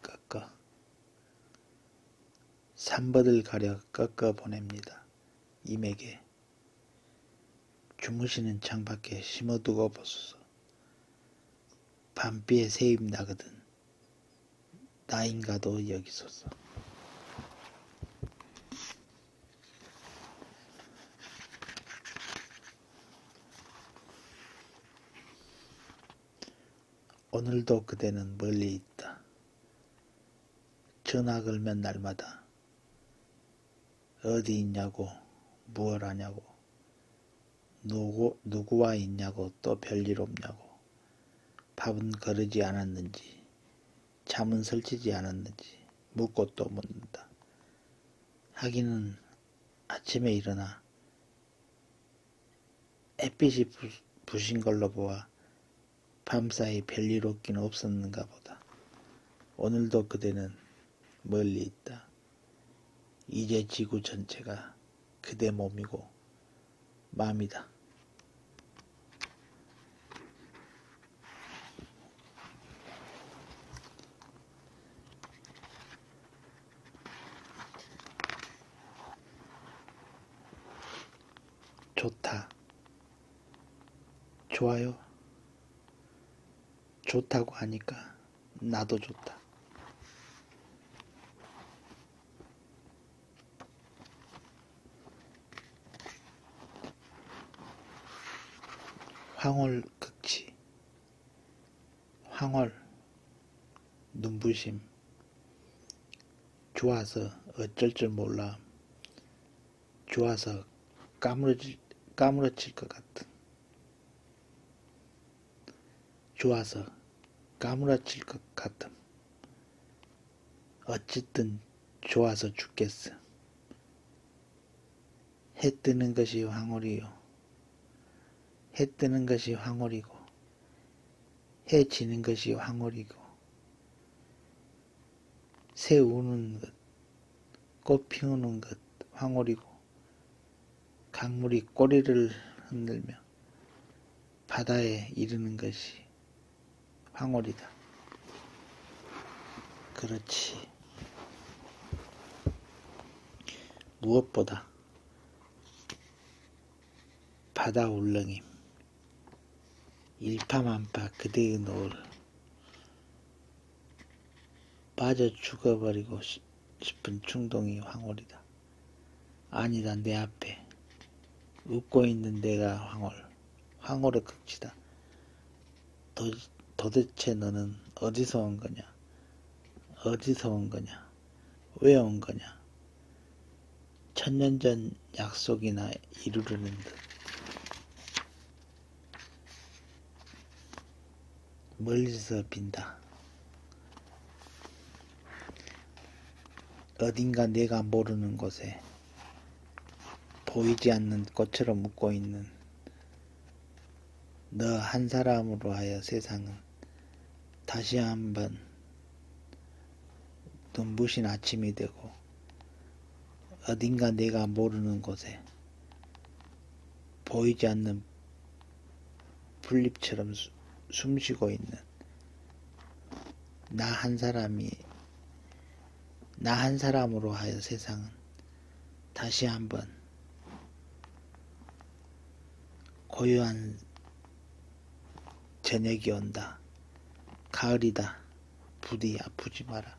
깎아 산버들 가려 깎아 보냅니다. 임에게 주무시는 창밖에 심어두고 보소서. 밤비에 새입 나거든 나인가도 여기소서. 오늘도 그대는 멀리 있다. 전화 걸면 날마다 어디 있냐고 무얼 하냐고 누구, 누구와 있냐고 또 별일 없냐고 밥은 거르지 않았는지 잠은 설치지 않았는지 묻고 또 묻는다. 하기는 아침에 일어나 햇빛이 부, 부신 걸로 보아 밤사이 별일 없긴 없었는가 보다. 오늘도 그대는 멀리 있다. 이제 지구 전체가 그대 몸이고 마음이다. 좋다. 좋아요. 좋다고 하니까 나도 좋다. 황홀 극치. 황홀. 눈부심. 좋아서 어쩔 줄 몰라. 좋아서 까무러질, 까무러칠 것 같은. 좋아서 까무러칠 것 같음. 어쨌든 좋아서 죽겠어. 해 뜨는 것이 황홀이요. 해 뜨는 것이 황홀이고 해 지는 것이 황홀이고 새 우는 것, 꽃 피우는 것 황홀이고 강물이 꼬리를 흔들며 바다에 이르는 것이 황홀이다. 그렇지. 무엇보다 바다 울렁임 일파만파 그대의 노을 빠져 죽어버리고 싶은 충동이 황홀이다. 아니다 내 앞에 웃고 있는 내가 황홀 황홀의 극치다. 도, 도대체 너는 어디서 온 거냐? 어디서 온 거냐? 거냐? 왜온 거냐? 천년 전 약속이나 이루려는 듯. 멀리서 빈다. 어딘가 내가 모르는 곳에 보이지 않는 꽃처럼 웃고 있는 너 한 사람으로 하여 세상은 다시 한번 눈부신 아침이 되고 어딘가 내가 모르는 곳에 보이지 않는 풀잎처럼 숨쉬고 있는 나 한 사람이 나 한 사람으로 하여 세상은 다시 한번 고요한 저녁이 온다. 가을이다. 부디 아프지 마라.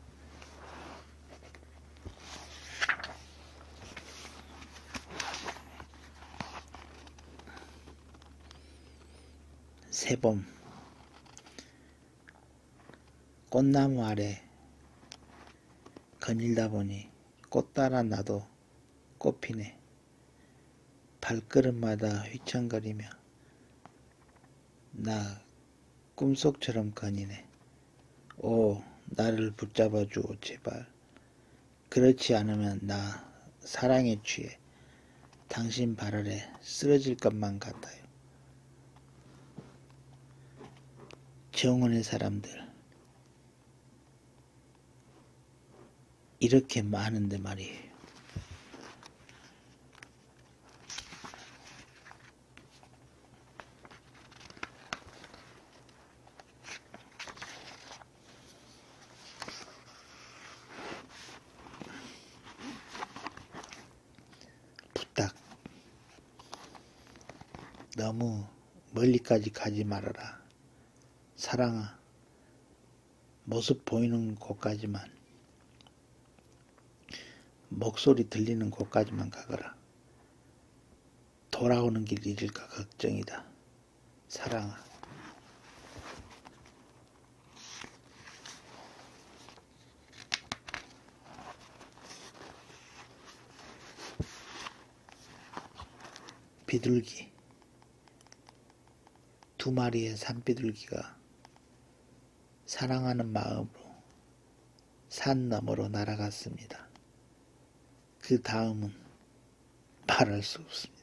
세봄 꽃나무 아래 거닐다 보니 꽃 따라 나도 꽃피네. 발걸음마다 휘청거리며 나 꿈속처럼 거니네. 오 나를 붙잡아주오 제발. 그렇지 않으면 나 사랑에 취해 당신 발 아래 쓰러질 것만 같아요. 정원의 사람들 이렇게 많은데 말이에요. 부탁. 너무 멀리까지 가지 말아라. 사랑아, 모습 보이는 곳까지만 목소리 들리는 곳까지만 가거라. 돌아오는 길 잃을까 걱정이다. 사랑아. 비둘기 두 마리의 산비둘기가 사랑하는 마음으로 산 너머로 날아갔습니다. 그 다음은 말할 수 없습니다.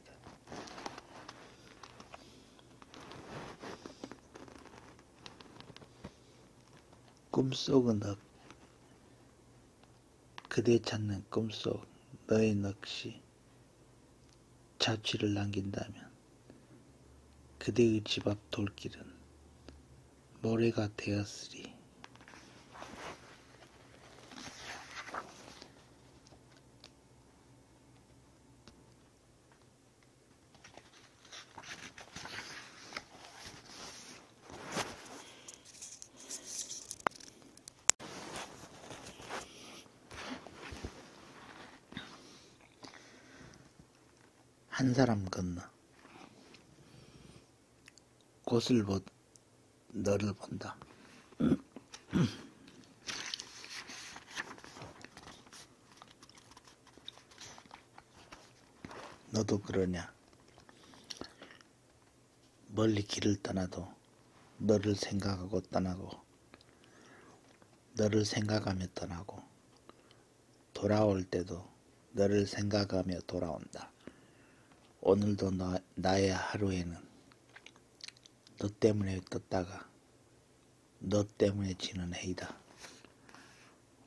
꿈속은 업 그대 찾는 꿈속 너의 넋이 자취를 남긴다면 그대의 집 앞 돌길은 모래가 되었으리. 한 사람 건너 곳을 보 너를 본다. 너도 그러냐? 멀리 길을 떠나도 너를 생각하고 떠나고 너를 생각하며 떠나고 돌아올 때도 너를 생각하며 돌아온다. 오늘도 나, 나의 하루에는 너 때문에 떴다가 너 때문에 지는 해이다.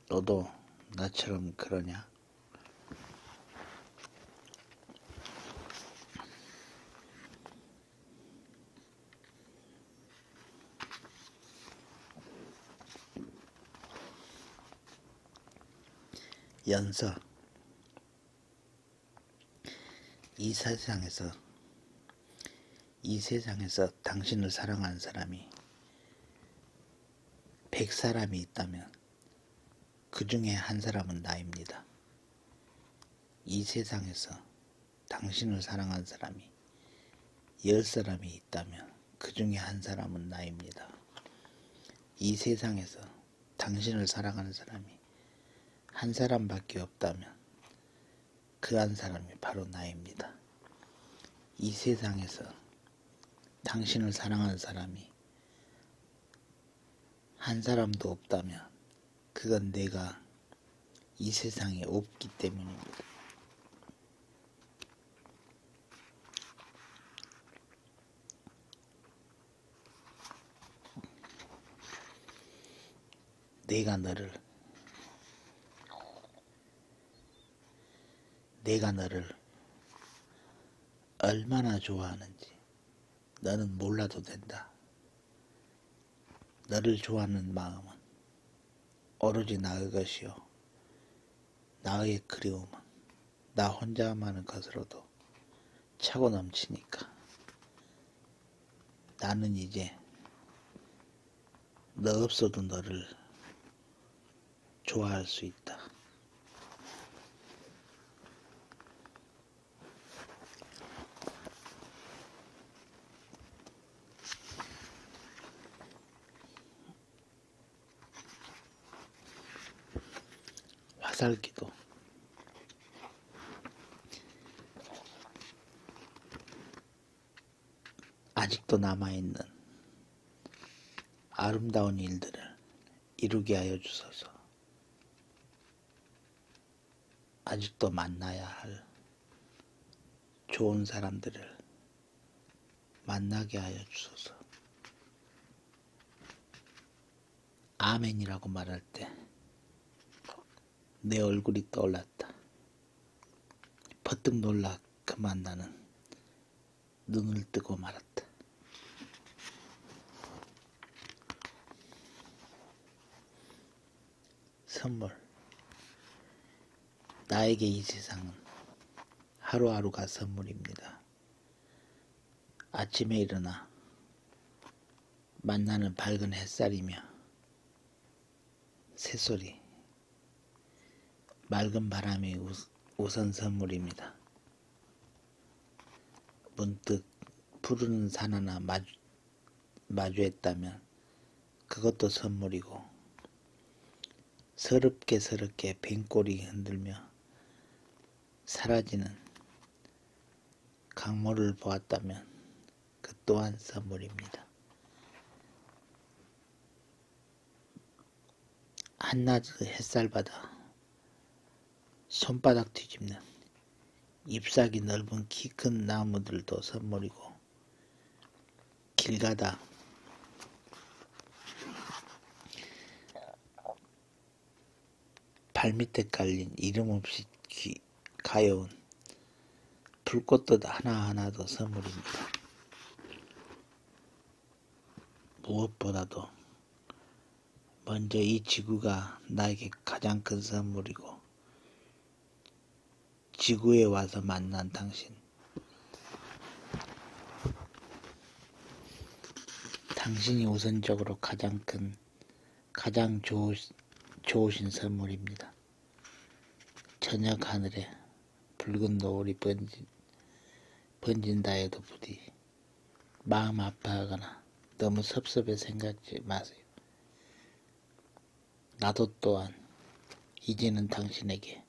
너도 나처럼 그러냐? 연서 이 세상에서 이 세상에서 당신을 사랑하는 사람이 백사람이 있다면 그 중에 한 사람은 나입니다. 이 세상에서 당신을 사랑한 사람이 열 사람이 있다면 그 중에 한 사람은 나입니다. 이 세상에서 당신을 사랑하는 사람이 한 사람밖에 없다면 그 한 사람이 바로 나입니다. 이 세상에서 당신을 사랑하는 사람이 한 사람도 없다면 그건 내가 이 세상에 없기 때문입니다. 내가 너를 내가 너를 얼마나 좋아하는지 나는 몰라도 된다. 나를 좋아하는 마음은 오로지 나의 것이요. 나의 그리움은 나 혼자만의 것으로도 차고 넘치니까. 나는 이제 너 없어도 너를 좋아할 수 있다. 화살기도 아직도 남아있는 아름다운 일들을 이루게 하여 주소서. 아직도 만나야 할 좋은 사람들을 만나게 하여 주소서. 아멘이라고 말할 때 내 얼굴이 떠올랐다. 퍼뜩 놀라 그만 나는 눈을 뜨고 말았다. 선물. 나에게 이 세상은 하루하루가 선물입니다. 아침에 일어나 만나는 밝은 햇살이며 새소리, 맑은 바람이 우선 선물입니다. 문득 푸른 산 하나 마주, 마주했다면 그것도 선물이고 서럽게 서럽게 뱅골이 흔들며 사라지는 강물을 보았다면 그 또한 선물입니다. 한낮 그 햇살바다 손바닥 뒤집는 잎사귀 넓은 키 큰 나무들도 선물이고 길 가다 발밑에 깔린 이름 없이 귀, 가여운 불꽃듯 하나하나도 선물입니다. 무엇보다도 먼저 이 지구가 나에게 가장 큰 선물이고 지구에 와서 만난 당신 당신이 우선적으로 가장 큰 가장 좋으, 좋으신 선물입니다. 저녁 하늘에 붉은 노을이 번진, 번진다 해도 부디 마음 아파하거나 너무 섭섭해 생각지 마세요. 나도 또한 이제는 당신에게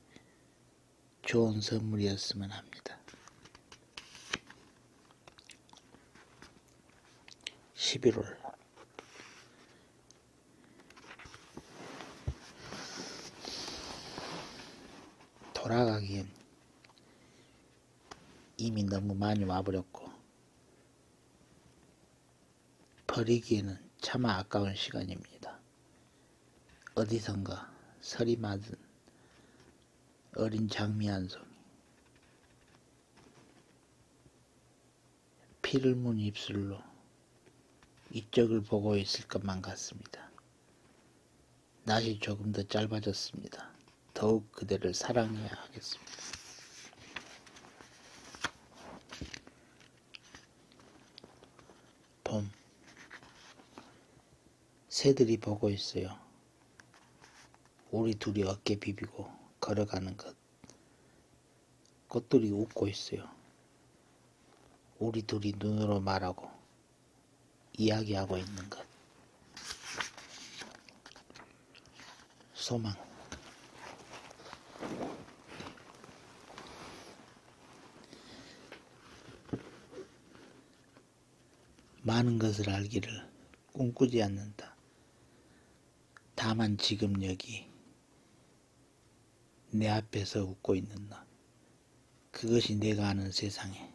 좋은 선물이었으면 합니다. 11월 돌아가기엔 이미 너무 많이 와버렸고 버리기에는 차마 아까운 시간입니다. 어디선가 서리 맞은 어린 장미 한 송이 피를 문 입술로 이쪽을 보고 있을 것만 같습니다. 날이 조금 더 짧아졌습니다. 더욱 그대를 사랑해야 하겠습니다. 봄 새들이 보고 있어요. 우리 둘이 어깨 비비고 걸어가는 것 꽃들이 웃고 있어요. 우리 둘이 눈으로 말하고 이야기하고 있는 것 소망 많은 것을 알기를 꿈꾸지 않는다. 다만 지금 여기 내 앞에서 웃고 있는 나. 그것이 내가 아는 세상에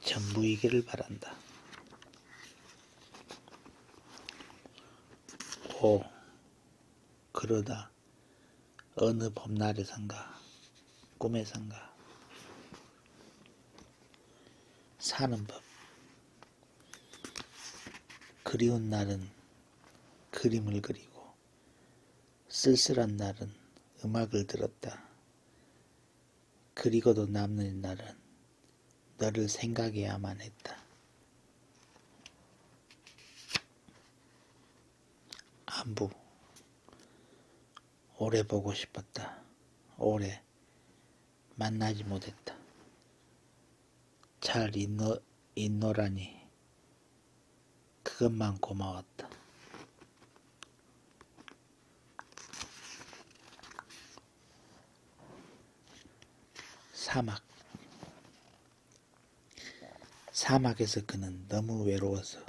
전부이기를 바란다. 5. 그러다 어느 봄날에선가 꿈에선가 사는 법 그리운 날은 그림을 그리고 쓸쓸한 날은 음악을 들었다. 그리고도 남는 날은 너를 생각해야만 했다. 안부. 오래 보고 싶었다. 오래 만나지 못했다. 잘 있노, 있노라니. 그것만 고마웠다. 사막 사막에서 그는 너무 외로워서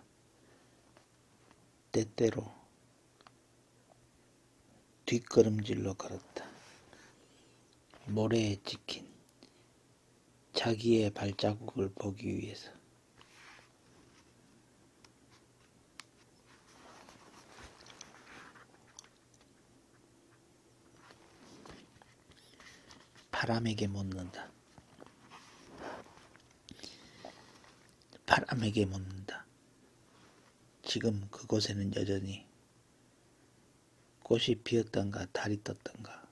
때때로 뒷걸음질로 걸었다. 모래에 찍힌 자기의 발자국을 보기 위해서 바람에게 묻는다. 바람에게 묻는다. 지금 그곳에는 여전히 꽃이 피었던가 달이 떴던가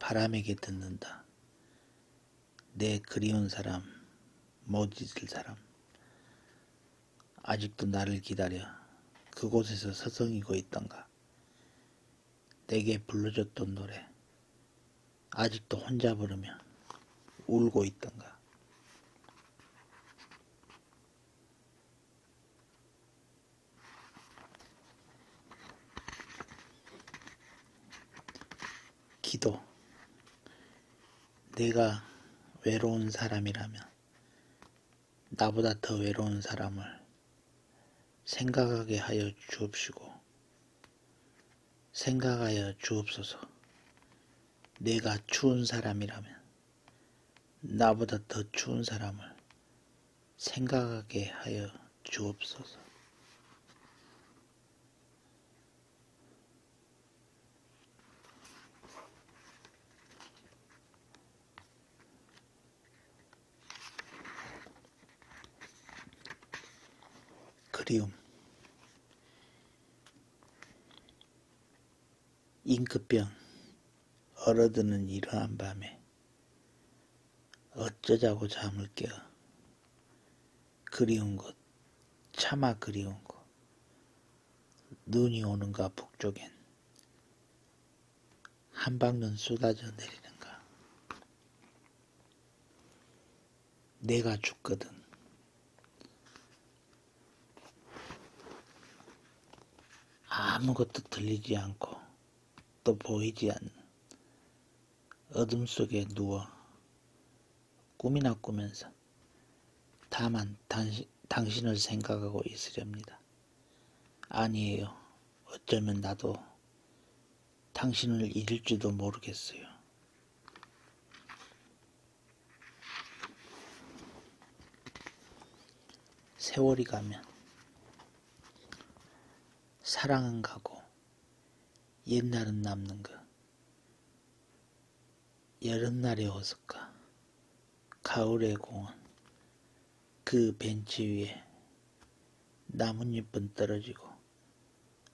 바람에게 듣는다. 내 그리운 사람, 못 잊을 사람. 아직도 나를 기다려 그곳에서 서성이고 있던가. 내게 불러줬던 노래, 아직도 혼자 부르며 울고 있던가. 기도. 내가 외로운 사람이라면 나보다 더 외로운 사람을 생각하게 하여 주옵시고 생각하여 주옵소서. 내가 추운 사람이라면 나보다 더 추운 사람을 생각하게 하여 주옵소서. 그리움 잉크병 얼어드는 이러한 밤에 어쩌자고 잠을 깨어 그리운 것, 차마 그리운 것. 눈이 오는가 북쪽엔 한 방눈 쏟아져 내리는가. 내가 죽거든. 아무것도 들리지 않고 또 보이지 않는 어둠 속에 누워 꿈이나 꾸면서 다만 당시, 당신을 생각하고 있으렵니다. 아니에요. 어쩌면 나도 당신을 잊을지도 모르겠어요. 세월이 가면 사랑은 가고 옛날은 남는 것 여름날의 호숫가, 가을의 공원, 그 벤치 위에 나뭇잎은 떨어지고,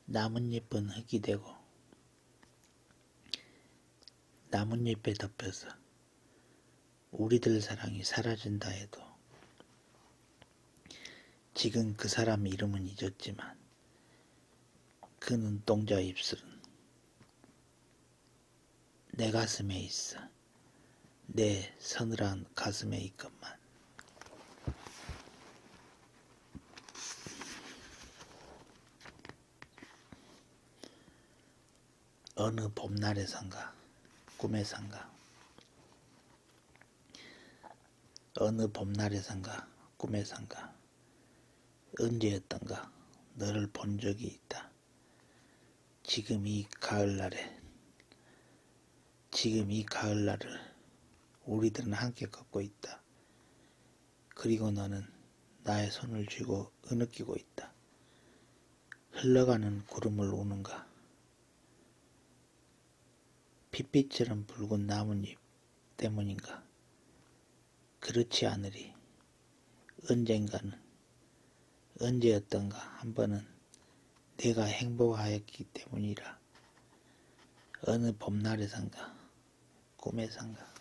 나뭇잎은 흙이 되고, 나뭇잎에 덮여서 우리들 사랑이 사라진다 해도, 지금 그 사람 이름은 잊었지만, 그 눈동자 입술은 내 가슴에 있어. 내 서늘한 가슴에 있건만. 어느 봄날에선가 꿈에선가 어느 봄날에선가 꿈에선가 언제였던가 너를 본 적이 있다. 지금 이 가을날에 지금 이 가을날을 우리들은 함께 걷고 있다. 그리고 너는 나의 손을 쥐고 으느끼고 있다. 흘러가는 구름을 우는가. 핏빛처럼 붉은 나뭇잎 때문인가? 그렇지 않으리. 언젠가는, 언제였던가 한 번은 내가 행복하였기 때문이라. 어느 봄날에선가, 꿈에선가.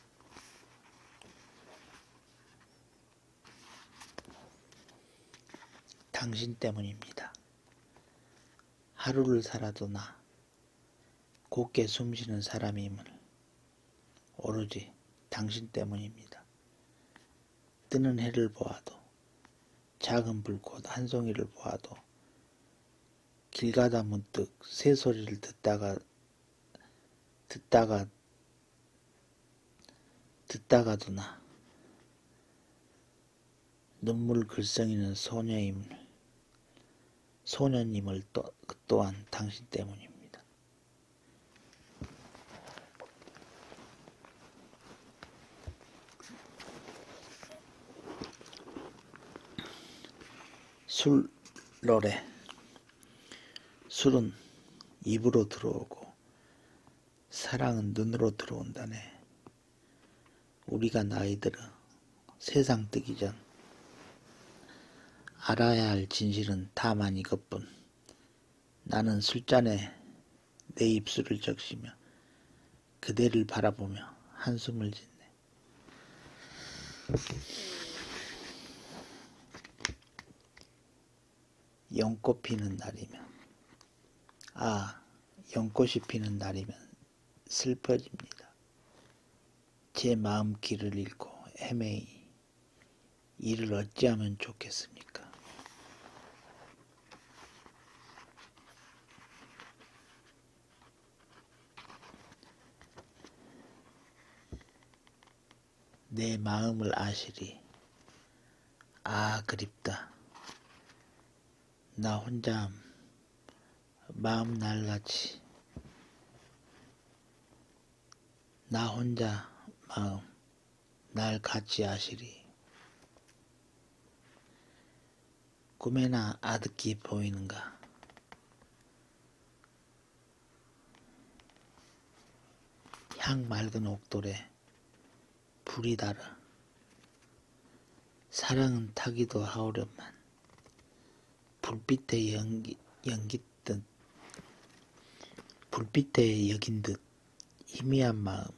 당신 때문입니다. 하루를 살아도 나 곱게 숨쉬는 사람임을 오로지 당신 때문입니다. 뜨는 해를 보아도 작은 불꽃 한 송이를 보아도 길 가다 문득 새 소리를 듣다가 듣다가 듣다가도 나 눈물 글썽이는 소녀임을 소녀님을 또, 또한 당신 때문입니다. 술, 러레. 술은 입으로 들어오고, 사랑은 눈으로 들어온다네. 우리가 나이 들어 세상 뜨기 전 알아야 할 진실은 다만 이것뿐 나는 술잔에 내 입술을 적시며 그대를 바라보며 한숨을 짓네 연꽃 피는 날이면 아 연꽃이 피는 날이면 슬퍼집니다. 제 마음 길을 잃고 헤매이 이를 어찌하면 좋겠습니까? 내 마음을 아시리. 아, 그립다. 나 혼자 마음 날같이 나 혼자 마음 날 같이 하시리 꿈에나 아득히 보이는가 향 맑은 옥돌에 불이 달아 사랑은 타기도 하오련만 불빛에 연기, 연깃듯 불빛에 여긴 듯 희미한 마음은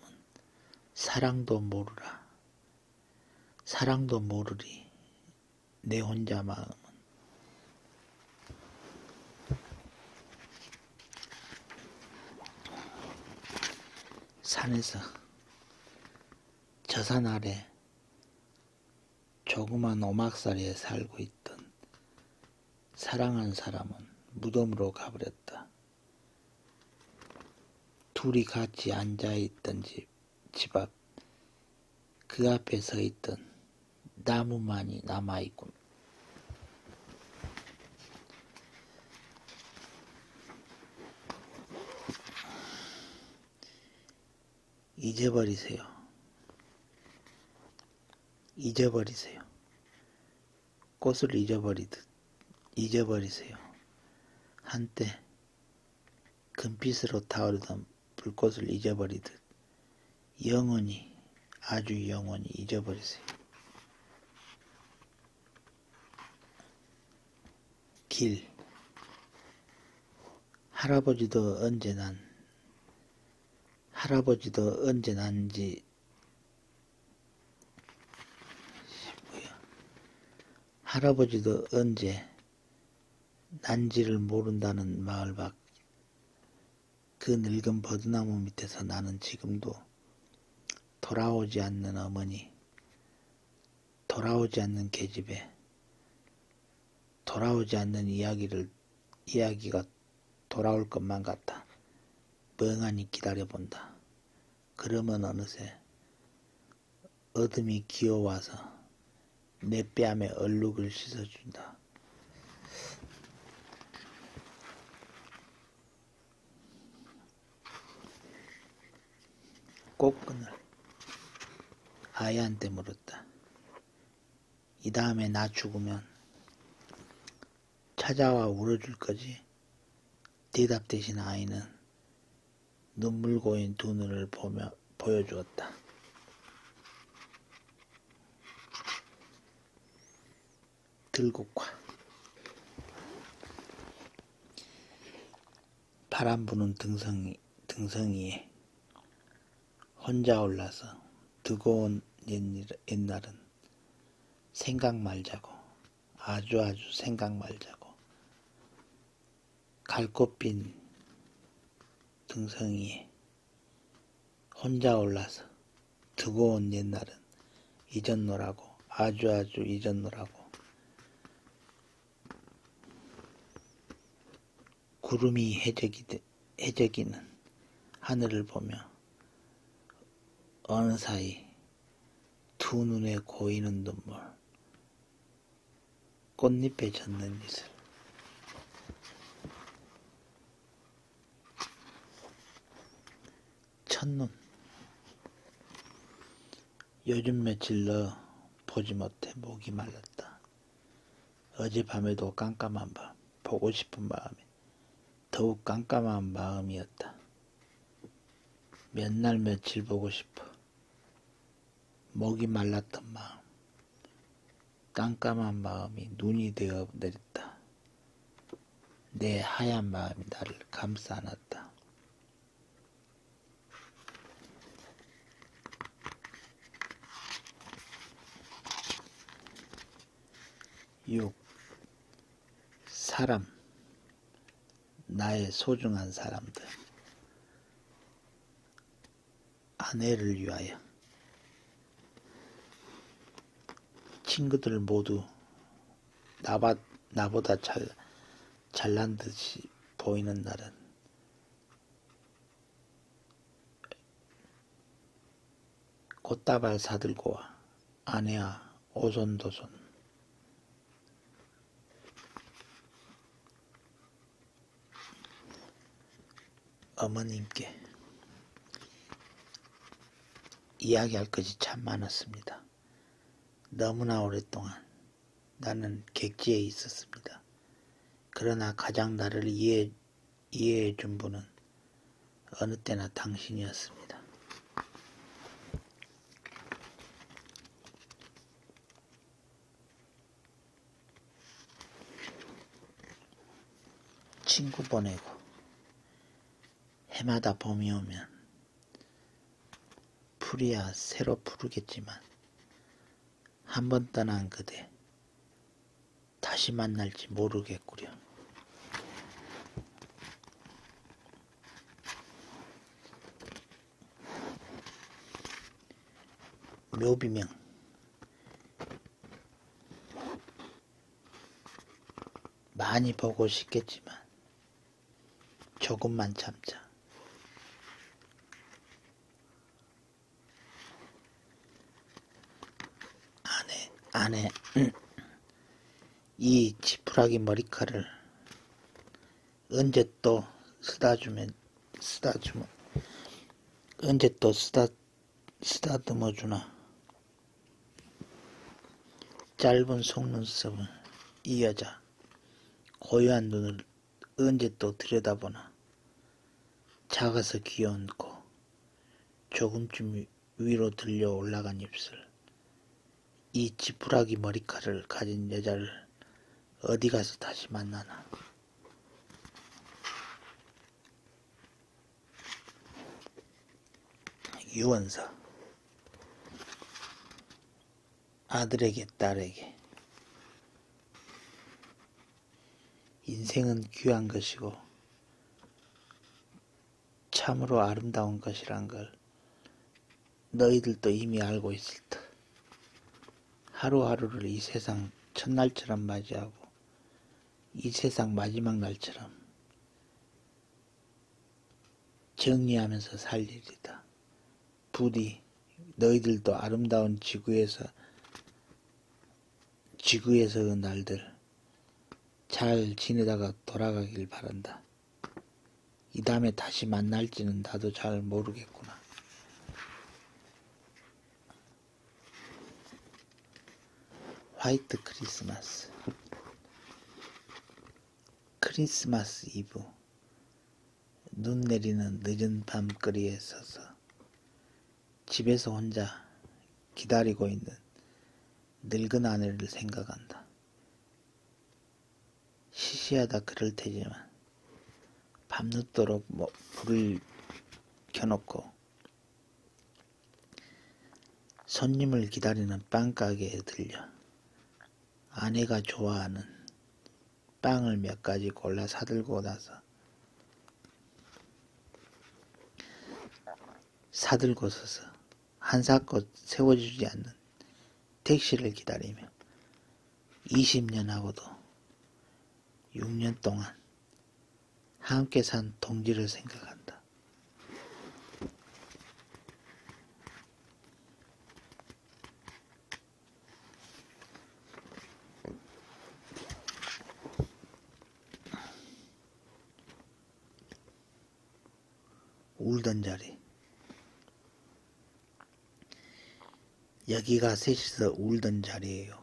사랑도 모르라 사랑도 모르리 내 혼자 마음은 산에서 저 산 아래 조그만 오막살이에 살고 있던 사랑한 사람은 무덤으로 가버렸다. 둘이 같이 앉아있던 집, 집 앞, 그 앞에 서 있던 나무만이 남아있군. 잊어버리세요. 잊어버리세요. 꽃을 잊어버리듯 잊어버리세요. 한때 금빛으로 타오르던 불꽃을 잊어버리듯 영원히 아주 영원히 잊어버리세요. 길. 할아버지도 언제 난, 할아버지도 언제 난지, 뭐야. 할아버지도 언제 난지를 모른다는 마을 밖, 그 늙은 버드나무 밑에서 나는 지금도 돌아오지 않는 어머니, 돌아오지 않는 계집애, 돌아오지 않는 이야기를, 이야기가 돌아올 것만 같다. 멍하니 기다려본다. 그러면 어느새 어둠이 기어와서 내 뺨에 얼룩을 씻어준다. 꽃끈을 아이한테 물었다. 이 다음에 나 죽으면 찾아와 울어줄 거지? 대답 대신 아이는 눈물 고인 두 눈을 보며, 보여주었다. 들국화 바람 부는 등성이, 등성이에 혼자 올라서 뜨거운 옛날은 생각 말자고 아주 아주 생각 말자고 갈꽃빈 등성이에 혼자 올라서 뜨거운 옛날은 잊었노라고 아주 아주 잊었노라고 구름이 해적이, 는 하늘을 보며 어느 사이 두 눈에 고이는 눈물 꽃잎에 젖는 이슬 첫눈 요즘 며칠 너 보지 못해 목이 말랐다. 어젯밤에도 깜깜한 밤, 보고 싶은 마음에 더욱 깜깜한 마음이었다. 몇날 며칠 보고 싶어. 목이 말랐던 마음, 깜깜한 마음이 눈이 되어 내렸다. 내 하얀 마음이 나를 감싸 안았다. 6. 사람 나의 소중한 사람들 아내를 위하여 친구들 모두 나바, 나보다 잘, 잘난 듯이 보이는 날은 꽃다발 사들고 와. 아내야, 오손도손. 어머님께 이야기할 것이 참 많았습니다. 너무나 오랫동안 나는 객지에 있었습니다. 그러나 가장 나를 이해, 이해해 준 분은 어느 때나 당신이었습니다. 친구 보내고 해마다 봄이 오면 풀이야 새로 푸르겠지만 한번 떠난 그대 다시 만날지 모르겠구려. 묘비명 많이 보고 싶겠지만 조금만 참자. 안에 안에 음. 이 지푸라기 머리카락을 언제 또 쓰다주면 쓰다주면 언제 또 쓰다 쓰다듬어 주나 짧은 속눈썹은 이 여자 고요한 눈을 언제 또 들여다보나 작아서 귀여운 코 조금쯤 위로 들려 올라간 입술 이 지푸라기 머리카락을 가진 여자를 어디 가서 다시 만나나 유원사 아들에게 딸에게 인생은 귀한 것이고 참으로 아름다운 것이란 걸 너희들도 이미 알고 있을 듯 하루하루를 이 세상 첫날처럼 맞이하고 이 세상 마지막 날처럼 정리하면서 살리리다. 부디 너희들도 아름다운 지구에서 지구에서의 날들 잘 지내다가 돌아가길 바란다. 이 다음에 다시 만날지는 나도 잘 모르겠구나. 화이트 크리스마스 크리스마스 이브 눈 내리는 늦은 밤거리에 서서 집에서 혼자 기다리고 있는 늙은 아내를 생각한다. 시시하다 그럴 테지만 밤늦도록 뭐 불을 켜놓고 손님을 기다리는 빵가게에 들려 아내가 좋아하는 빵을 몇 가지 골라 사들고 나서 사들고 서서 한사껏 세워주지 않는 택시를 기다리며 20년하고도 6년 동안 함께 산 동지를 생각한다. 울던 자리 여기가 셋이서 울던 자리예요.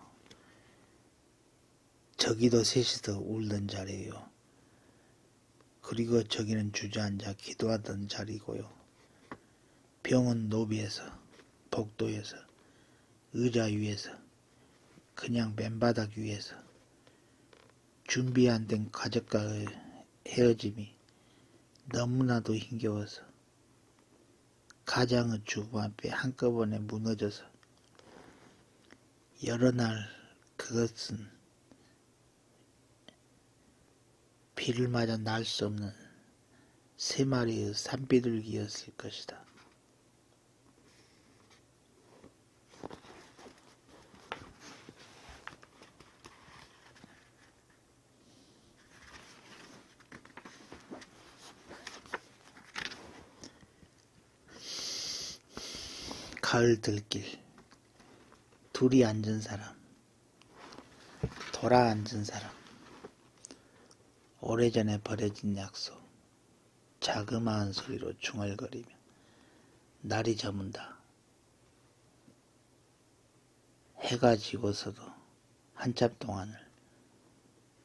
저기도 셋이서 울던 자리예요. 그리고 저기는 주저앉아 기도하던 자리고요. 병은 노비에서, 복도에서, 의자 위에서, 그냥 맨바닥 위에서, 준비 안 된 가족과의 헤어짐이 너무나도 힘겨워서, 가장의 주부 앞에 한꺼번에 무너져서, 여러 날 그것은 비를 맞아 날 수 없는 세 마리의 산비둘기였을 것이다. 가을 들길 둘이 앉은 사람 돌아앉은 사람 오래전에 버려진 약속 자그마한 소리로 중얼거리며 날이 저문다 해가 지고서도 한참 동안을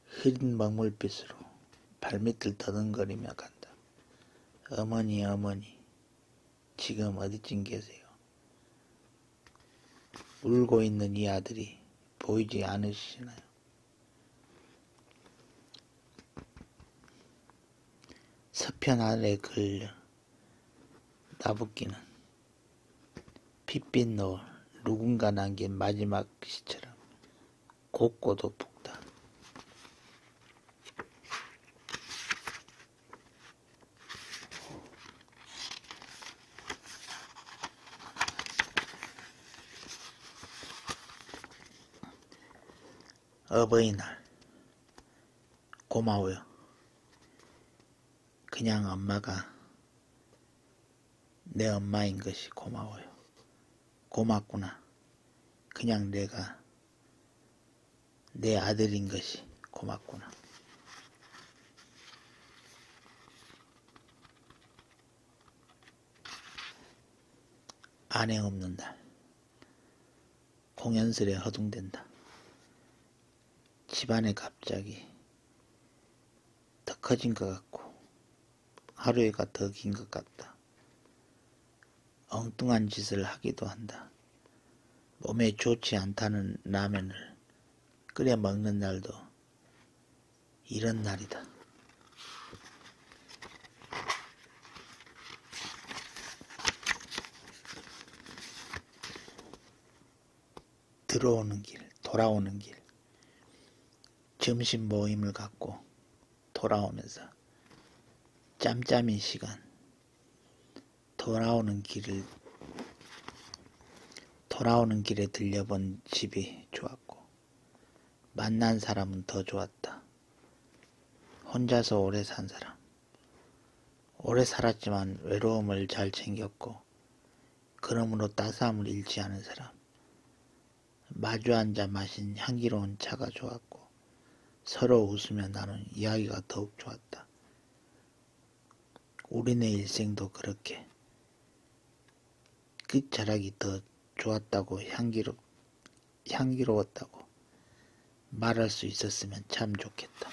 흐린 먹물빛으로 발밑을 더듬거리며 간다 어머니 어머니 지금 어디쯤 계세요 울고 있는 이 아들이 보이지 않으시나요? 서편 아래 걸려 나붓기는 핏빛 노을 누군가 남긴 마지막 시처럼 곱고도 붓다. 어버이날 고마워요. 그냥 엄마가 내 엄마인 것이 고마워요. 고맙구나. 그냥 내가 내 아들인 것이 고맙구나. 안행 없는 날 공연설에 허둥댄다 집안에 갑자기 더 커진 것 같고 하루에가 더 긴 것 같다 엉뚱한 짓을 하기도 한다 몸에 좋지 않다는 라면을 끓여 먹는 날도 이런 날이다. 들어오는 길, 돌아오는 길, 점심 모임을 갖고 돌아오면서 짬짬이 시간, 돌아오는 길을 돌아오는 길에 들려본 집이 좋았고 만난 사람은 더 좋았다. 혼자서 오래 산 사람. 오래 살았지만 외로움을 잘 챙겼고 그러므로 따스함을 잃지 않은 사람. 마주 앉아 마신 향기로운 차가 좋았고 서로 웃으며 나눈 이야기가 더욱 좋았다. 우리네 일생도 그렇게 끝자락이 더 좋았다고 향기로, 향기로웠다고 말할 수 있었으면 참 좋겠다.